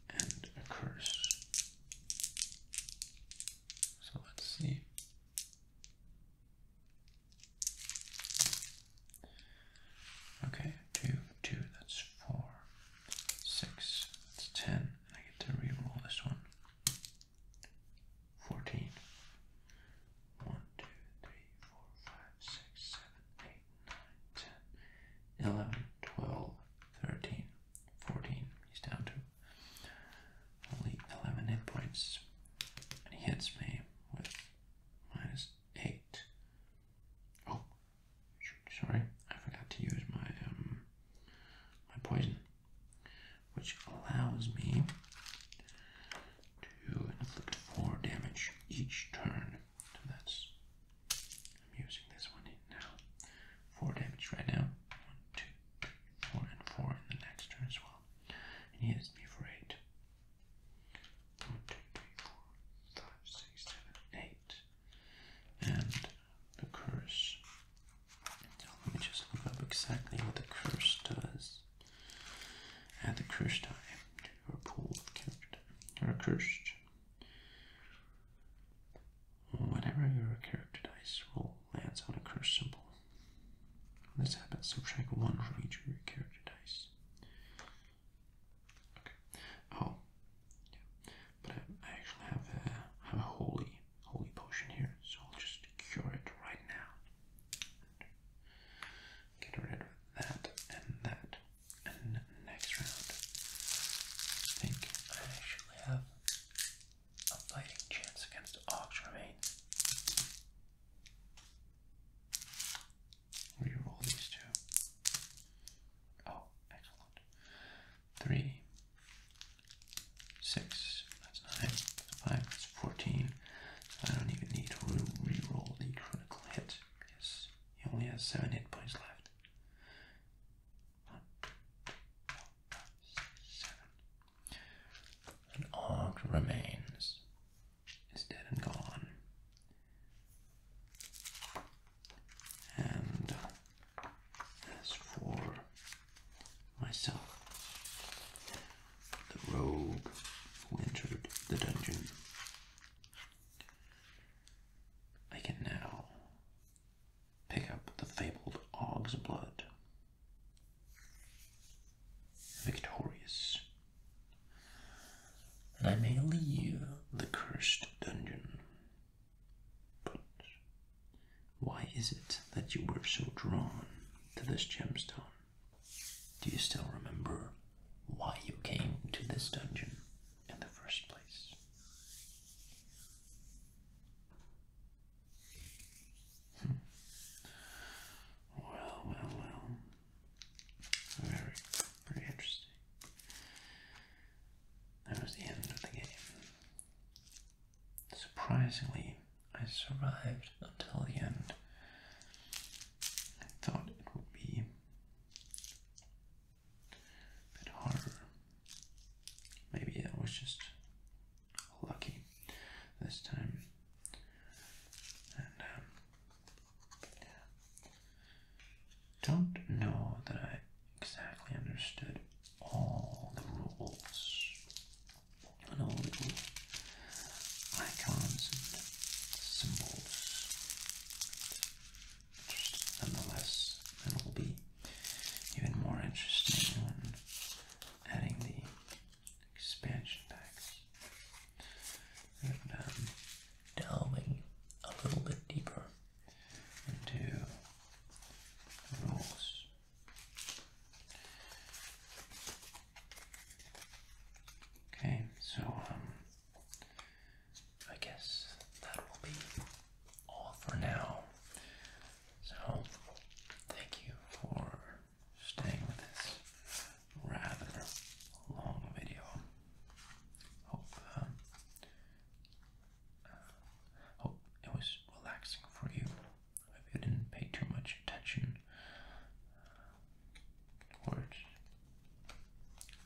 and a curse. So let's see. Okay, two, two, that's four, six, that's ten, I get to re-roll this one. Fourteen. One, two, three, four, five, six, seven, eight, nine, ten, eleven, twelve, 13, He's down to only 11 hit points. And he hits me with minus 8. Oh, sorry, I forgot to use my, um, my poison, which allows me to inflict 4 damage each turn. So that's I'm using this one now. Four damage right now. One, two, four, and four in the next turn as well. And he hits me for eight. One, two, three, four, five, six, seven, eight. And the curse. So let me just look up exactly what the curse does. Add the curse time, to your pool of character. You're Whenever your character dice roll lands on a curse symbol, when this happens, subtract one from each of your character dice. Okay. Oh, yeah. But I, actually have a holy holy potion here, so I'll just cure it right now. Get rid of that and that. And next round, I think I actually have a fighting chance against Oxremain. Reroll these two. Oh, excellent. Three, six, that's nine, five, that's fourteen. I don't even need to reroll the critical hit because he only has seven hit points left. An og remains, is dead and gone. And as for myself, the rogue who entered the dungeon, I can now pick up the fabled Og's blood. Victorious. And I may leave the cursed dungeon. But why is it that you were so drawn to this gemstone? Do you still remember why you came to this dungeon? in the first place. Hmm. Well, well, well. Very, very interesting. That was the end of the game. Surprisingly, I survived until the end. I thought it would be bit harder. Maybe I was just lucky this time. Um, don't know that I exactly understood all the rules and all the icons and symbols just nonetheless, and will be even more interesting when adding the expansion packs and um, delving a little bit deeper into the rules. Okay, so um, I guess that will be all for now. So, thank you for staying with this rather long video. Hope, um, uh, hope it was relaxing for you. Hope you didn't pay too much attention uh,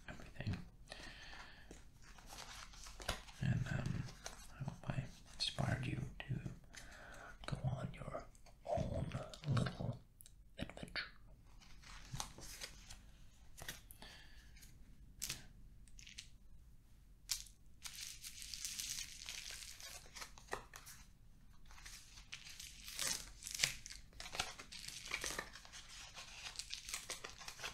everything. And um, I hope I inspired you to go on your own little adventure.